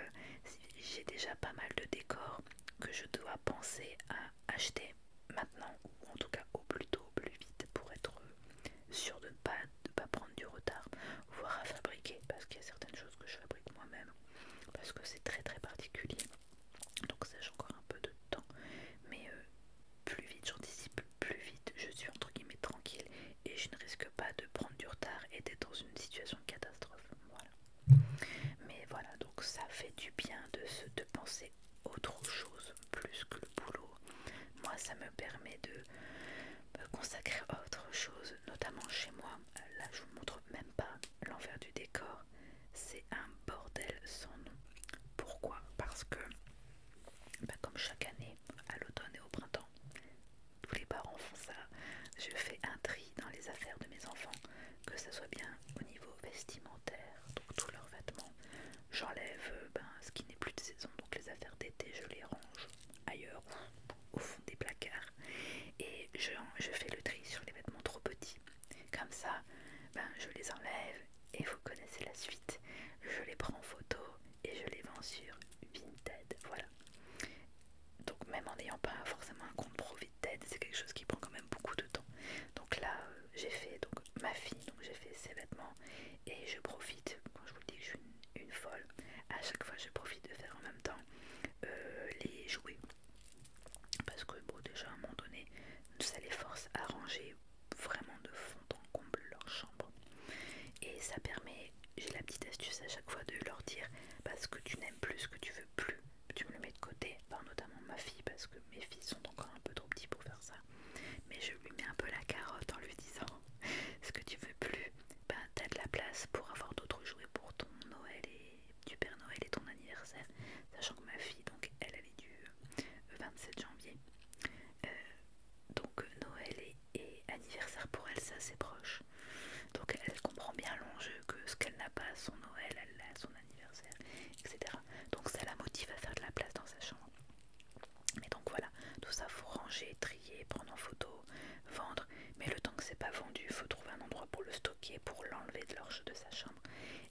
j'ai déjà pas mal de décors que je dois penser à acheter maintenant ou en tout cas au plus tôt, au plus vite pour être sûr de ne pas, prendre du retard, voire à fabriquer parce qu'il y a certaines choses que je fabrique moi-même parce que c'est très très particulier. Donc ça j'ai encore un peu de temps, mais euh, plus vite j'anticipe, plus vite je suis entre guillemets tranquille et je ne risque pas de prendre du retard et d'être dans une situation de catastrophe. moi mais voilà, donc ça fait du bien de, se, de penser autre chose plus que le boulot. Moi, ça me permet de me consacrer à autre chose, notamment chez moi. Là, je vous montre même pas l'envers du décor. C'est un bordel sans nom. Pourquoi Parce que, bah, comme chaque année, à l'automne et au printemps, tous les parents font ça. Je fais un tri dans les affaires de mes enfants que ça soit bien au niveau vestimentaire, donc tous leurs vêtements. J'enlève euh, ben, ce qui n'est plus de saison, donc les affaires d'été, je les range ailleurs au fond des placards. Et je, fais le tri sur les vêtements trop petits. Comme ça, ben, je les enlève et vous connaissez la suite. Je les prends en photo et je les vends sur Vinted. Voilà. Donc même en n'ayant pas forcément un compte pro c'est quelque chose qui prend quand même beaucoup de temps. Donc là, euh, j'ai fait donc, ma fille, donc j'ai fait ses vêtements et je profite, quand je vous dis que je suis une, folle, à chaque fois je profite de faire en même temps euh, les jouets. Parce que bon, déjà à un moment donné, ça les force à ranger vraiment de fond en comble leur chambre. Et ça permet, j'ai la petite astuce à chaque fois de leur dire, parce que tu n'aimes plus ce que tu veux plus tu me le mets de côté, notamment ma fille, parce que mes filles sont encore un peu trop petites pour faire ça. Mais je lui mets un peu la carotte en lui disant ce que tu veux plus, ben, t'as de la place pour avoir d'autres jouets pour ton Noël et du Père Noël et ton anniversaire, sachant que ma fille, donc elle, est du 27 euh, janvier. Euh, donc Noël et, anniversaire pour elle, c'est assez proche. Donc elle comprend bien l'enjeu que ce qu'elle n'a pas son Noël, elle l'a son anniversaire, etc. Donc ça la motive à faire de la place dans sa chambre. Mais donc voilà, tout ça faut ranger, trier, prendre en photo, vendre. Mais le temps que c'est pas vendu, il faut trouver un endroit pour le stocker, pour l'enlever de l'orge de sa chambre.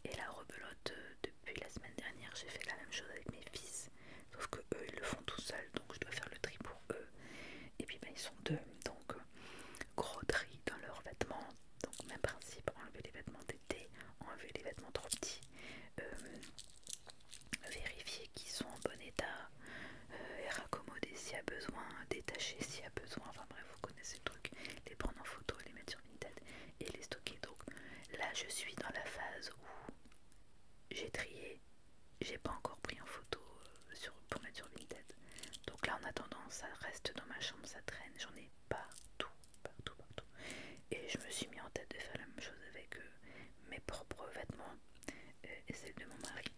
Et la rebelote, euh, depuis la semaine dernière, j'ai fait la même chose avec mes fils. Sauf que eux, ils le font tout seuls, donc je dois faire le tri pour eux. Et puis ben, ils sont deux, donc gros tri dans leurs vêtements. Donc même principe, enlever les vêtements d'été, enlever les vêtements trop petits, euh, vérifier qu'ils sont en bon état euh, et raccommoder s'il y a besoin, détacher s'il y a besoin. Enfin bref, vous connaissez le truc. Les prendre en photo, les mettre sur Vinted et les stocker. Donc là, je suis dans la phase où j'ai trié, j'ai pas encore pris en photo euh, pour mettre sur Vinted. Donc là en attendant ça reste dans ma chambre, ça traîne, j'en ai partout, partout, partout. Et je me suis mis en tête de faire la même chose avec euh, mes propres vêtements euh, et celle de mon mari.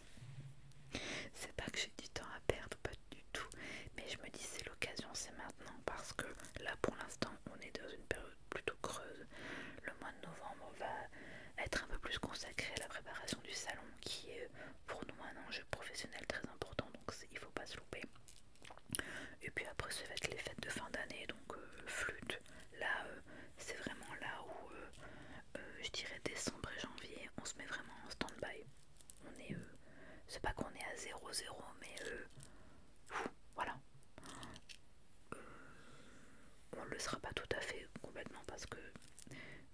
c'est pas que j'ai du temps à perdre, pas du tout. Mais je me dis c'est l'occasion, c'est maintenant. Parce que là pour l'instant on est dans une période plutôt creuse. Le mois de novembre va être un peu plus consacré à la préparation du salon qui est pour nous un enjeu professionnel très important, donc il faut pas se louper. Et puis après, ça va être les fêtes de fin d'année, donc euh, flûte. Là, euh, c'est vraiment là où euh, je dirais décembre et janvier, on se met vraiment en stand-by. On est, c'est pas qu'on est à 0-0, mais voilà. On on le sera pas tout à fait complètement parce que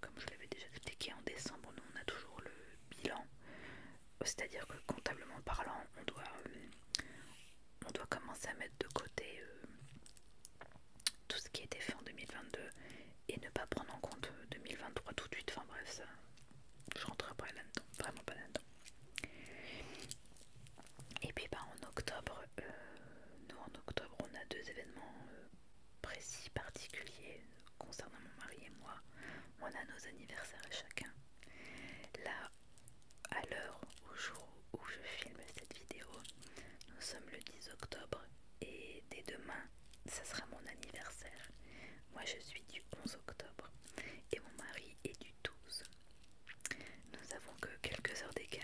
comme je l'avais déjà expliqué en décembre, nous on a toujours le bilan, c'est-à-dire que comptablement parlant, on doit, euh, on doit commencer à mettre de côté euh, tout ce qui a été fait en 2022 et ne pas prendre en compte 2023 euh, tout de suite. Enfin bref, ça, je rentrerai pas là-dedans, vraiment pas là-dedans. Et puis ben, en octobre, nous en octobre on a deux événements précis, particuliers, concernant mon mari et moi, on a nos anniversaires à chacun. Là, à l'heure, au jour où je filme cette vidéo, nous sommes le 10 octobre et dès demain, ça sera mon anniversaire. Moi, je suis du 11 octobre et mon mari est du 12. Nous avons que quelques heures d'écart.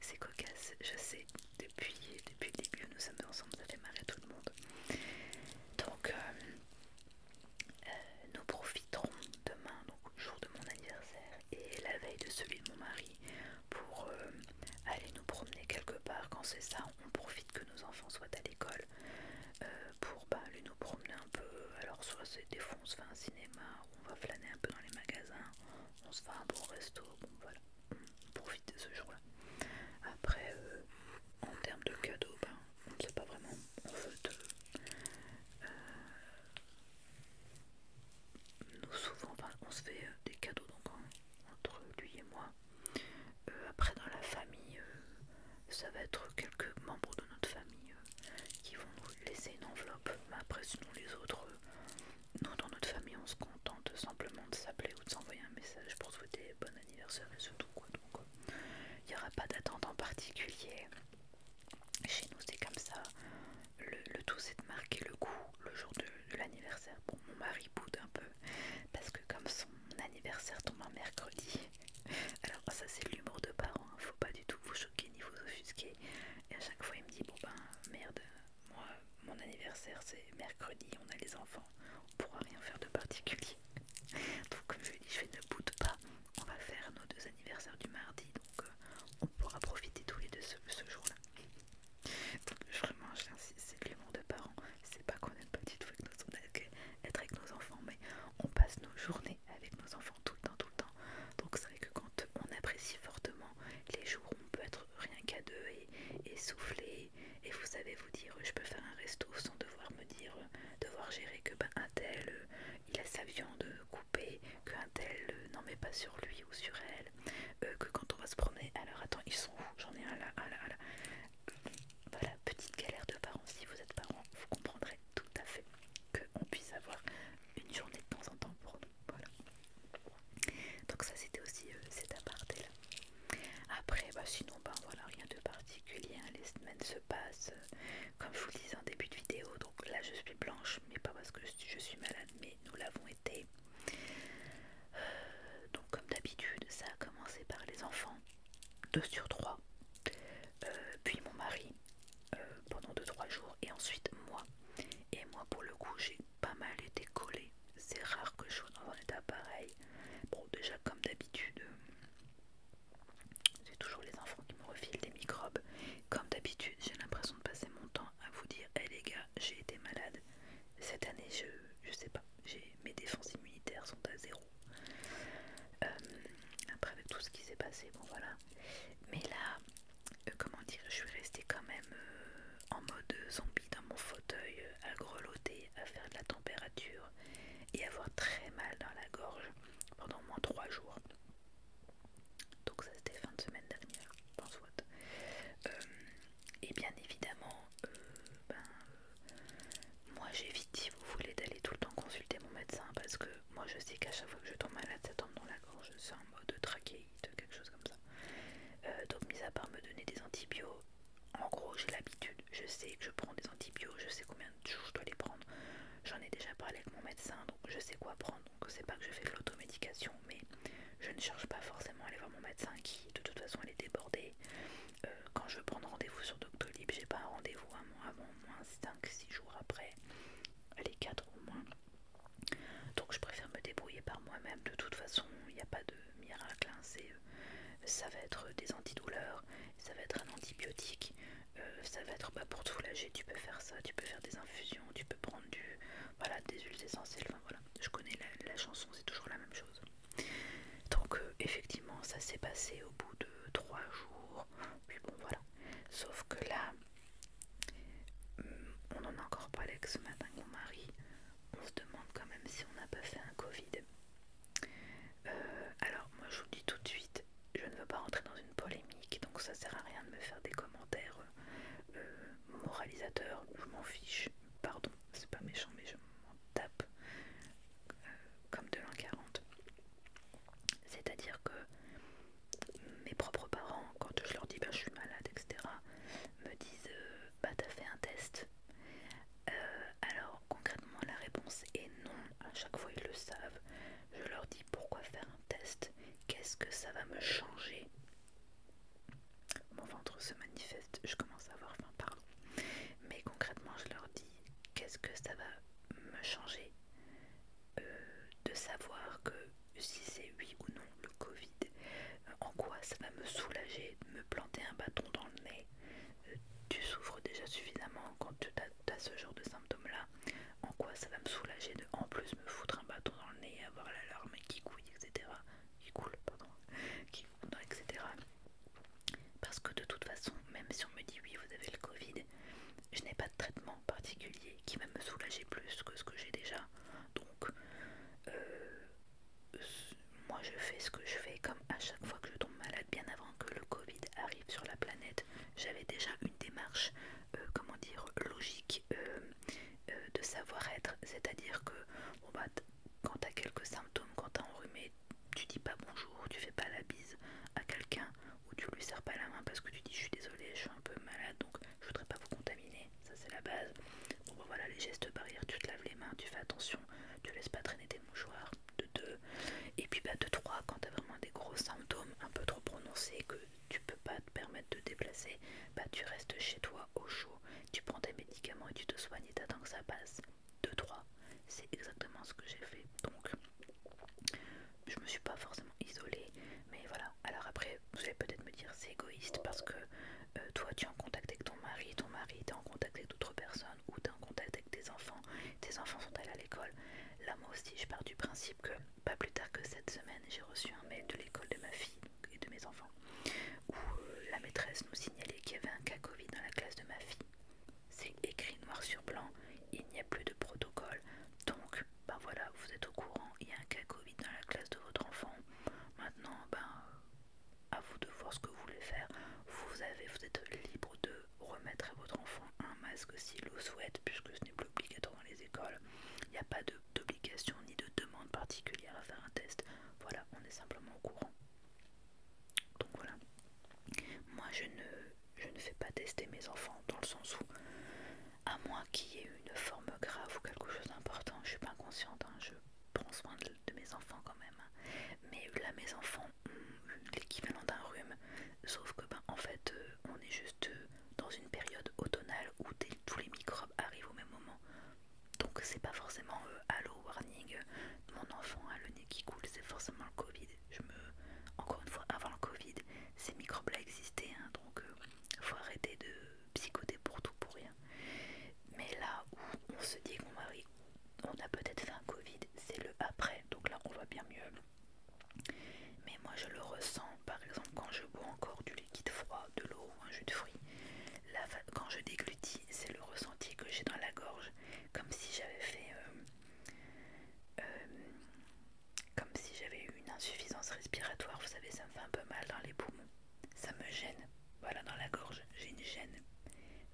C'est cocasse, je sais, depuis, depuis le début nous sommes ensemble, ça fait à tout le monde. Donc euh, euh, nous profiterons demain, donc jour de mon anniversaire et la veille de celui de mon mari, pour euh, aller nous promener quelque part. Quand c'est ça, on profite que nos enfants soient à l'école pour bah, aller nous promener un peu. Alors soit c'est des fois on se fait un cinéma, on va flâner un peu dans les magasins, on se fait un bon resto, bon voilà on profite ce jour-là. Après, euh, en termes de cadeaux, ben, on ne sait pas vraiment. Euh, nous souvent, on se fait euh, des cadeaux donc entre lui et moi. après, dans la famille, ça va être quelques membres de notre famille qui vont nous laisser une enveloppe. Mais après, sinon les autres, nous dans notre famille, on se tente simplement de s'appeler ou de s'envoyer un message pour souhaiter bon anniversaire et surtout tout quoi. Donc euh, il n'y aura pas d'attente en particulier. Chez nous c'est comme ça. Le, tout c'est de marquer le coup le jour de, l'anniversaire. Bon mon mari boude un peu parce que comme son anniversaire tombe un mercredi. Alors ça c'est l'humour de parents, hein. faut pas du tout vous choquer ni vous offusquer. Et à chaque fois il me dit bon ben merde moi, mon anniversaire c'est mercredi, on a les enfants, on pourra rien faire de particulier. Donc comme euh, je dis je ne boude pas, on va faire nos deux anniversaires du mardi, donc euh, on pourra profiter tous les deux ce, ce jour-là. Donc vraiment, c'est de l'humour de parents, c'est pas qu'on aime pas du tout avec nos, être avec nos enfants, mais on passe nos journées avec nos enfants tout le temps, tout le temps. Donc c'est vrai que quand on apprécie fortement les jours on peut être rien qu'à deux et, et souffler et vous savez vous dire je peux faire un resto sans devoir me dire devoir gérer que ben un tel euh, il a sa viande euh, coupée qu'un tel euh, n'en met pas sur lui ou sur elle que quand on va se promener alors attends ils sont où j'en ai un là un là là voilà petite galère de parents si vous êtes parents vous comprendrez tout à fait qu'on puisse avoir une journée de temps en temps pour nous voilà donc ça c'était aussi cet aparté là après, bah sinon, ben, voilà, rien de particulier. Hein. Les semaines se passent, euh, comme je vous le disais en début de vidéo. Donc là, je suis blanche, mais pas parce que je suis malade, mais nous l'avons été. Euh, donc, comme d'habitude, ça a commencé par les enfants, 2 sur 3, euh, puis mon mari pendant 2-3 jours, et ensuite moi. Et moi, pour le coup, j'ai pas mal été collé. C'est rare que je sois dans un état pareil. Bon, déjà, comme d'habitude, euh, c'est toujours les enfants qui me refilent des microbes. Comme d'habitude, j'ai l'impression de passer mon temps à vous dire Hé les gars, j'ai été malade. Cette année, je, sais pas, mes défenses immunitaires sont à zéro. Euh, après, avec tout ce qui s'est passé, bon voilà. Mais là, euh, comment dire, je suis restée quand même en mode zombie dans mon fauteuil à greloter à faire de la température et avoir très mal dans la gorge pendant au moins 3 jours. Donc ça c'était fin de semaine dernière, dans soit. Euh, et bien évidemment, euh, ben, moi j'évite si vous voulez d'aller tout le temps consulter mon médecin parce que moi je sais qu'à chaque fois que je tombe malade, ça tombe dans la gorge, c'est en mode trachéite, quelque chose comme ça. Euh, donc mis à part me donner des antibiotiques en gros, j'ai l'habitude, je sais que je prends des antibiotiques, je sais combien de jours je dois les prendre. J'en ai déjà parlé avec mon médecin, donc je sais quoi prendre. Donc, c'est pas que je fais de l'automédication, mais je ne cherche pas forcément à aller voir mon médecin qui, de toute façon, elle est débordée. Euh, quand je veux prendre rendez-vous sur Doctolib, j'ai pas un rendez-vous à moins, avant, moins 5-6 jours après, les 4 au moins. Donc, je préfère me débrouiller par moi-même. De toute façon, il n'y a pas de euh, miracle, hein, c'est euh, ça va être des antidouleurs, ça va être un antibiotique, euh, ça va être pas bah, pour te soulager, tu peux faire ça, tu peux faire des infusions, tu peux prendre du, voilà, des huiles essentielles, voilà, je connais la, chanson, c'est toujours la même chose. Donc effectivement ça s'est passé au bout de trois jours, puis bon voilà, sauf que là, mm, on en a encore pas l'ex ce matin mon mari, on se demande quand même si on n'a pas fait un Covid. Euh, alors moi je vous dis tout de suite, je ne veux pas rentrer dans une polémique, donc ça sert à rien de me faire des commentaires euh, moralisateurs, je m'en fiche, pardon, c'est pas méchant mais je m'en tape euh, comme de l'an 40. C'est-à-dire que mes propres parents, quand je leur dis ben, je suis malade, etc., me disent bah t'as fait un test. Euh, alors concrètement la réponse est non, à chaque fois ils le savent. Je leur dis pourquoi faire un test, qu'est-ce que ça va me changer Mon ventre se manifeste, je commence à avoir faim, par. Mais concrètement je leur dis qu'est-ce que ça va me changer euh, de savoir que si c'est oui ou non le Covid, en quoi ça va me soulager, planter un bâton dans le nez. Euh, tu souffres déjà suffisamment quand tu as, ce genre de symptômes-là. En quoi ça va me soulager de en plus me foutre un bâton dans le nez et avoir la larme qui couille, etc. Qui coule, pardon. Qui coule, etc. Parce que de toute façon, même si on me dit oui, vous avez le Covid, je n'ai pas de traitement particulier qui va me soulager plus que ce que j'ai déjà. Donc, euh, euh, moi je fais ce que je fais comme à chaque fois que je tombe malade bien avant que le Covid arrive sur la planète j'avais déjà une démarche euh, comment dire logique euh, de savoir-être c'est à dire que quand bah, tu quand t'as quelques symptômes quand t'as enrhumé tu dis pas bonjour tu fais pas la bise à quelqu'un ou tu lui serres pas la main parce que tu dis je suis désolé, je suis un peu malade donc je voudrais pas vous contaminer ça c'est la base bah, voilà les gestes barrières tu te laves les mains tu fais attention tu laisses pas traîner tes mouchoirs, de deux, et puis bah de 3, quand tu as vraiment des gros symptômes un peu trop prononcés que tu peux pas te permettre de déplacer, bah tu restes chez toi au chaud, tu prends tes médicaments et tu te soignes et t'attends que ça passe. De 3, c'est exactement ce que j'ai fait, donc je me suis pas forcément isolée, mais voilà. Alors après, vous allez peut-être me dire c'est égoïste parce que euh, toi tu es en contact avec ton mari, ton mari est en contact avec d'autres personnes ou tu es en contact avec tes enfants, tes enfants sont allés à l'école. Là moi aussi je pars du principe que pas plus tard que cette semaine j'ai reçu un mail de l'école de ma fille et de mes enfants où euh, la maîtresse nous signalait qu'il y avait un cas Covid dans la classe de ma fille. C'est écrit noir sur blanc, il n'y a plus de protocole. Donc, ben voilà, vous êtes au courant, il y a un cas Covid dans la classe de votre enfant. Maintenant, ben à vous de voir ce que vous voulez faire. Vous, avez, vous êtes libre de remettre à votre enfant un masque s'il le souhaite, puisque ce n'est plus obligatoire dans les écoles. Il n'y a pas d'obligation ni de demande particulière à faire un test. Voilà, on est simplement au courant. Donc voilà. Moi, je ne, je ne fais pas tester mes enfants dans le sens où, à moins qu'il y ait une forme grave ou quelque chose d'important, je ne suis pas inconsciente, hein, je prends soin de, mes enfants quand même. Hein. Mais là, mes enfants ont l'équivalent d'un rhume, sauf que ben en fait, euh, on est juste euh, dans une période automnale où tous les microbes arrivent au même moment. Donc c'est pas forcément euh, Allo warning, mon enfant a le nez qui coule, c'est forcément le Covid. Je me, encore une fois, avant le Covid, ces microbes-là existaient, hein. donc faut arrêter de psychoter pour tout pour rien. Mais là où on se dit qu'on on a peut-être fait un Covid, c'est le après. Donc là, on voit bien mieux. Mais moi, je le ressens. Par exemple, quand je bois encore du liquide froid, de l'eau ou un jus de fruits, là, quand je déglutis, c'est le ressenti que j'ai dans la gorge, comme si j'avais fait, euh, euh, comme si j'avais eu une insuffisance respiratoire. Vous savez, ça me fait un peu mal dans les poumons. Ça me gêne. Voilà dans la gorge, j'ai une gêne,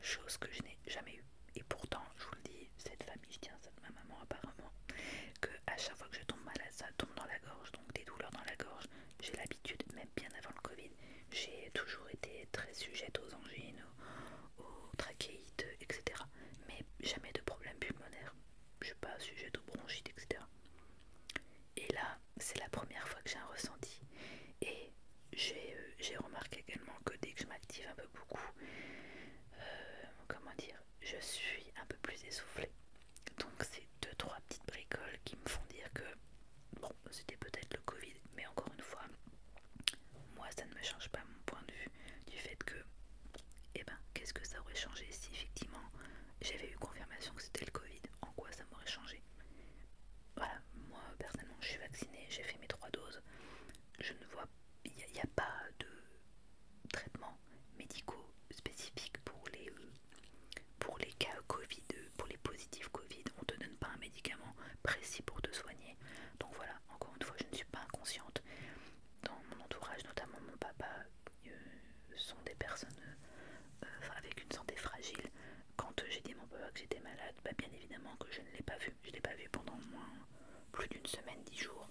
chose que je n'ai jamais eue. Et pourtant, je vous le dis, cette famille, je tiens ça de ma maman apparemment, que à chaque fois que je tombe malade, ça tombe dans la gorge, donc des douleurs dans la gorge. J'ai l'habitude, même bien avant le Covid, j'ai toujours été très sujette aux angines, aux, trachéites, etc. Mais jamais de problème pulmonaire. Je suis pas sujette aux bronchites, etc. Et là, c'est la première fois que j'ai un ressenti. Et euh, j'ai remarqué également que dès que je m'active un peu beaucoup, euh, comment dire, je suis un peu plus essoufflée. Donc c'est deux trois petites bricoles qui me font dire que bon, c'était peut-être le Covid, mais encore une fois, moi ça ne me change pas mon point de vue du fait que, eh ben, qu'est-ce que ça aurait changé si effectivement j'avais eu confirmation que c'était le Covid En quoi ça m'aurait changé voilà, moi personnellement je suis vaccinée, j'ai fait mes trois doses, je ne vois il n'y a, pas de traitements médicaux spécifiques pour les, cas Covid, pour les positifs Covid, on ne te donne pas un médicament précis pour te soigner. Donc voilà, encore une fois, je ne suis pas inconsciente. Dans mon entourage, notamment mon papa, euh, sont des personnes euh, avec une santé fragile. Quand euh, j'ai dit à mon papa que j'étais malade, bah, bien évidemment que je ne l'ai pas vu. Je ne l'ai pas vu pendant moins plus d'une semaine, dix jours.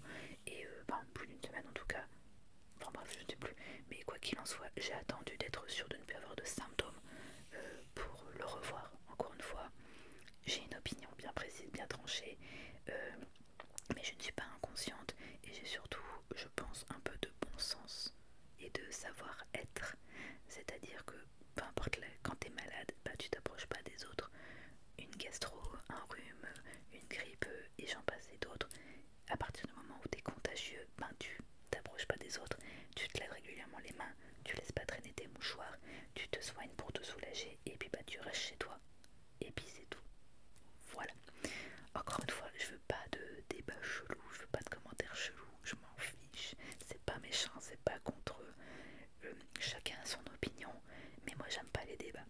Et euh, plus d'une semaine en tout cas. Enfin bref, je ne sais plus. Mais quoi qu'il en soit, j'ai attendu d'être sûre de ne plus avoir de symptômes euh, pour le revoir. Encore une fois, j'ai une opinion bien précise, bien tranchée. mais je ne suis pas inconsciente et j'ai surtout, je pense, un peu de bon sens et de savoir-être. C'est-à-dire que peu importe, là, quand t'es malade, bah, tu t'approches pas des autres. Une gastro, un rhume, une grippe et j'en passe et d'autres. À partir du moment où t'es contagieux, ben tu t'approches pas des autres, tu te laves régulièrement les mains, tu laisses pas traîner tes mouchoirs, tu te soignes pour te soulager et puis bah tu restes chez toi. Et puis c'est tout. Voilà. Encore une fois, je veux pas de débat chelou, je veux pas de commentaires chelous, je m'en fiche, c'est pas méchant, c'est pas contre euh, chacun son opinion, mais moi j'aime pas les débats.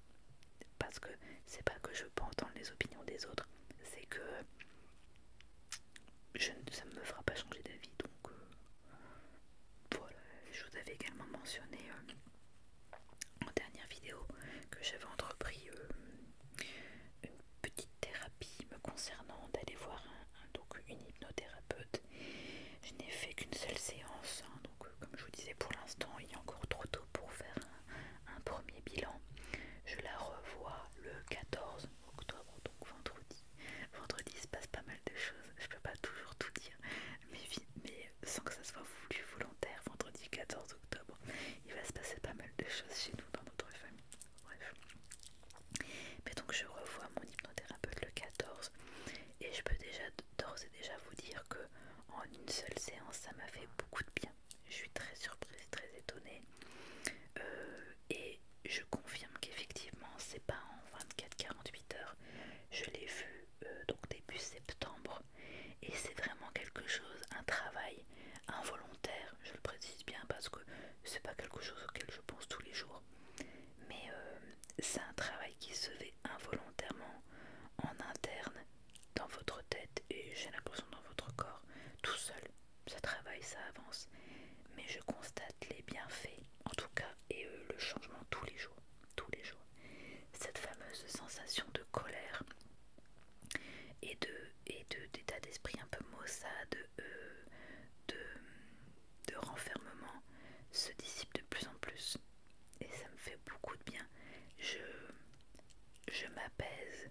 Parce que c'est pas que je peux entendre les opinions des autres, c'est que je, ça me fera pas changer d'avis. Donc euh, voilà, je vous avais également mentionné euh, en dernière vidéo que j'avais entrepris une petite thérapie me concernant d'aller voir un... Hein, donc une hypnothérapeute. Je n'ai fait qu'une seule séance, hein, donc euh, comme je vous disais pour l'instant, il est encore trop tôt pour faire un, premier bilan. Je la revois le 14 octobre, donc vendredi. Vendredi, il se passe pas mal de choses, je peux pas toujours tout dire, mais, mais sans que ça soit voulu volontaire, vendredi 14 octobre, il va se passer pas mal de choses chez nous dans notre famille. Bref. Mais donc je revois mon hypnothérapeute le 14 et je peux déjà d'ores et déjà vous dire que en une seule séance ça m'a fait beaucoup de bien. Je suis très surprise, très étonnée. Euh, et je confirme qu'effectivement c'est pas en 24-48 heures. Je l'ai vu euh, donc début septembre et c'est vraiment quelque chose, un travail involontaire, je le précise bien parce que c'est pas quelque chose auquel je pense tous les jours mais euh, c'est un travail qui se fait involontairement en interne dans votre tête et j'ai l'impression dans votre corps tout seul ça travaille ça avance mais je constate les bienfaits en tout cas et euh, le changement tous les jours tous les jours cette fameuse sensation de colère et de et d'état d'esprit un peu maussade euh, de de renfermement se dissipe de plus en plus. Et ça me fait beaucoup de bien. Je, je m'apaise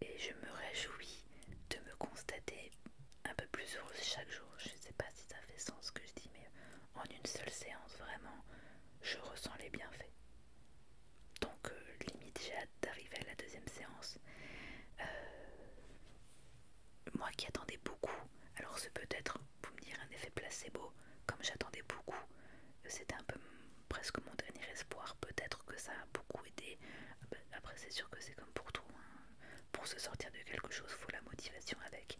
et je me réjouis de me constater un peu plus heureuse chaque jour. Je ne sais pas si ça fait sens ce que je dis, mais en une seule séance, vraiment, je ressens les bienfaits. Donc, euh, limite, j'ai hâte d'arriver à la deuxième séance. Euh, moi qui attendais beaucoup, alors c'est peut-être, vous me dire un effet placebo, comme j'attendais beaucoup, c'était un peu presque mon dernier espoir, peut-être que ça a beaucoup aidé. Ah ben, après, c'est sûr que c'est comme pour tout, hein. pour se sortir de quelque chose, faut la motivation avec.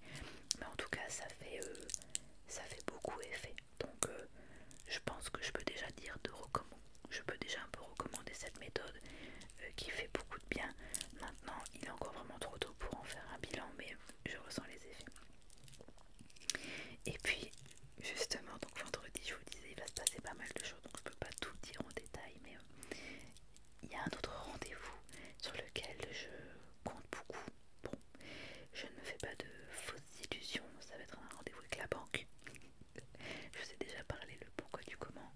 Mais en tout cas, ça fait, euh, ça fait beaucoup effet. Donc, euh, je pense que je peux déjà dire de je peux déjà un peu recommander cette méthode. Euh, qui fait beaucoup de bien. Maintenant, il est encore vraiment trop tôt pour en faire un bilan, mais je ressens les effets. Et puis, justement, donc vendredi, je vous disais, il va se passer pas mal de choses, donc je peux pas tout dire en détail, mais euh, il y a un autre rendez-vous sur lequel je compte beaucoup. Bon, je ne me fais pas de fausses illusions, ça va être un rendez-vous avec la banque. je vous ai déjà parlé le pourquoi du comment.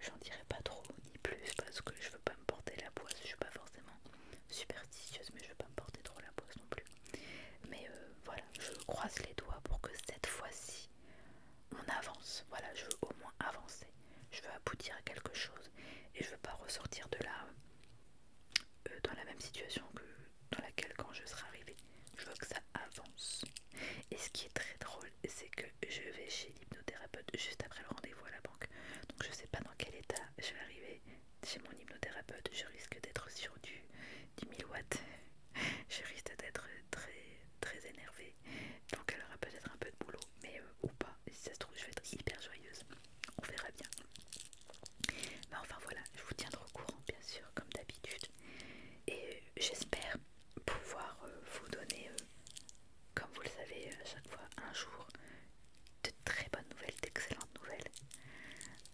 J'en dirai pas trop ni plus parce que je veux pas me porter la poisse. Je suis pas forcément superstitieuse, mais je veux pas me porter trop la poisse non plus. Mais euh, voilà, je croise les doigts pour que cette fois-ci on avance. Voilà, je veux au moins avancer. Je veux aboutir à quelque chose et je veux pas ressortir de là euh, dans la même situation que dans laquelle quand je serai arrivée. Je veux que ça avance. Et ce qui est très drôle, c'est que je vais chez l'hypnothérapeute juste après le rendez-vous à la banque. Donc je sais pas dans quel état je vais arriver chez mon hypnothérapeute. Je risque d'être sur du 10 watts. je risque d'être très très énervée. Donc elle aura peut-être un peu de boulot, mais euh, ou pas. Si ça se trouve, je vais être hyper joyeuse. On verra bien. Mais enfin voilà, je vous tiendrai au courant bien sûr, comme d'habitude. Et euh, j'espère pouvoir euh, vous donner comme vous le savez, euh, chaque fois un jour de très bonnes nouvelles, d'excellentes nouvelles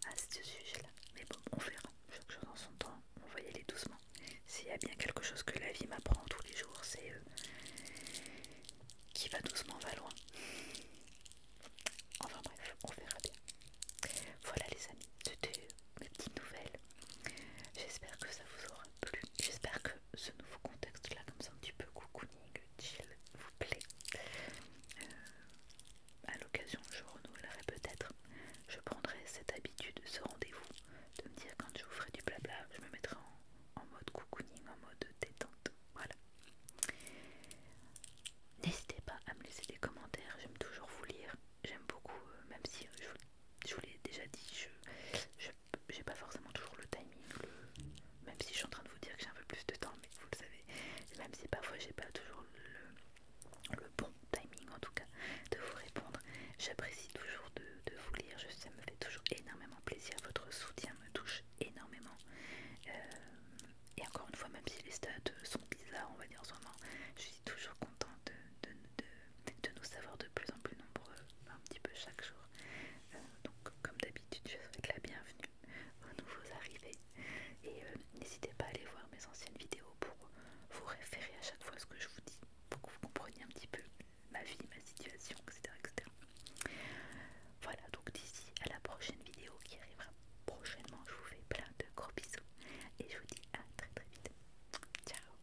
à ce sujet-là. Mais bon, on verra. Chaque chose en son temps, on va y aller doucement. S'il y a bien quelque chose que la vie m'apprend tous les jours, c'est qu'il euh, qui va doucement va loin. Enfin bref, on verra bien. Voilà les amis, c'était mes petites nouvelles J'espère que ça vous aura plu. J'espère que ce nouveau contexte là, comme ça un petit peu cocooning, chill, vous plaît. Euh, à l'occasion, je renouvelerai peut-être. Je prendrai cette habitude, ce rendez-vous, de me dire quand je vous ferai du blabla, je me mettrai en, mode cocooning, en mode détente. Voilà. N'hésitez pas à me laisser des commentaires, j'aime toujours vous lire. J'aime beaucoup, euh, même si je, vous, l'ai déjà dit, je, je j'ai pas forcément toujours le timing, même si je suis en train de vous dire que j'ai un peu plus de temps, mais vous le savez, même si parfois j'ai pas toujours le, bon timing en tout cas de vous répondre, j'apprécie toujours de, vous lire, je, ça me fait toujours énormément plaisir, votre soutien me touche énormément. Euh, et encore une fois, même si les stats sont bizarres, on va dire en ce moment, je suis toujours contente de nous savoir de plus en plus nombreux, un petit peu chaque jour, euh, donc, comme d'habitude, je souhaite la bienvenue aux nouveaux arrivés et euh, n'hésitez pas à aller voir mes anciennes vidéos pour vous référer à chaque fois ce que je vous dis, pour que vous compreniez un petit peu ma vie, ma situation, etc. etc. Voilà, donc d'ici à la prochaine vidéo qui arrivera prochainement, je vous fais plein de gros bisous et je vous dis à très très vite. Ciao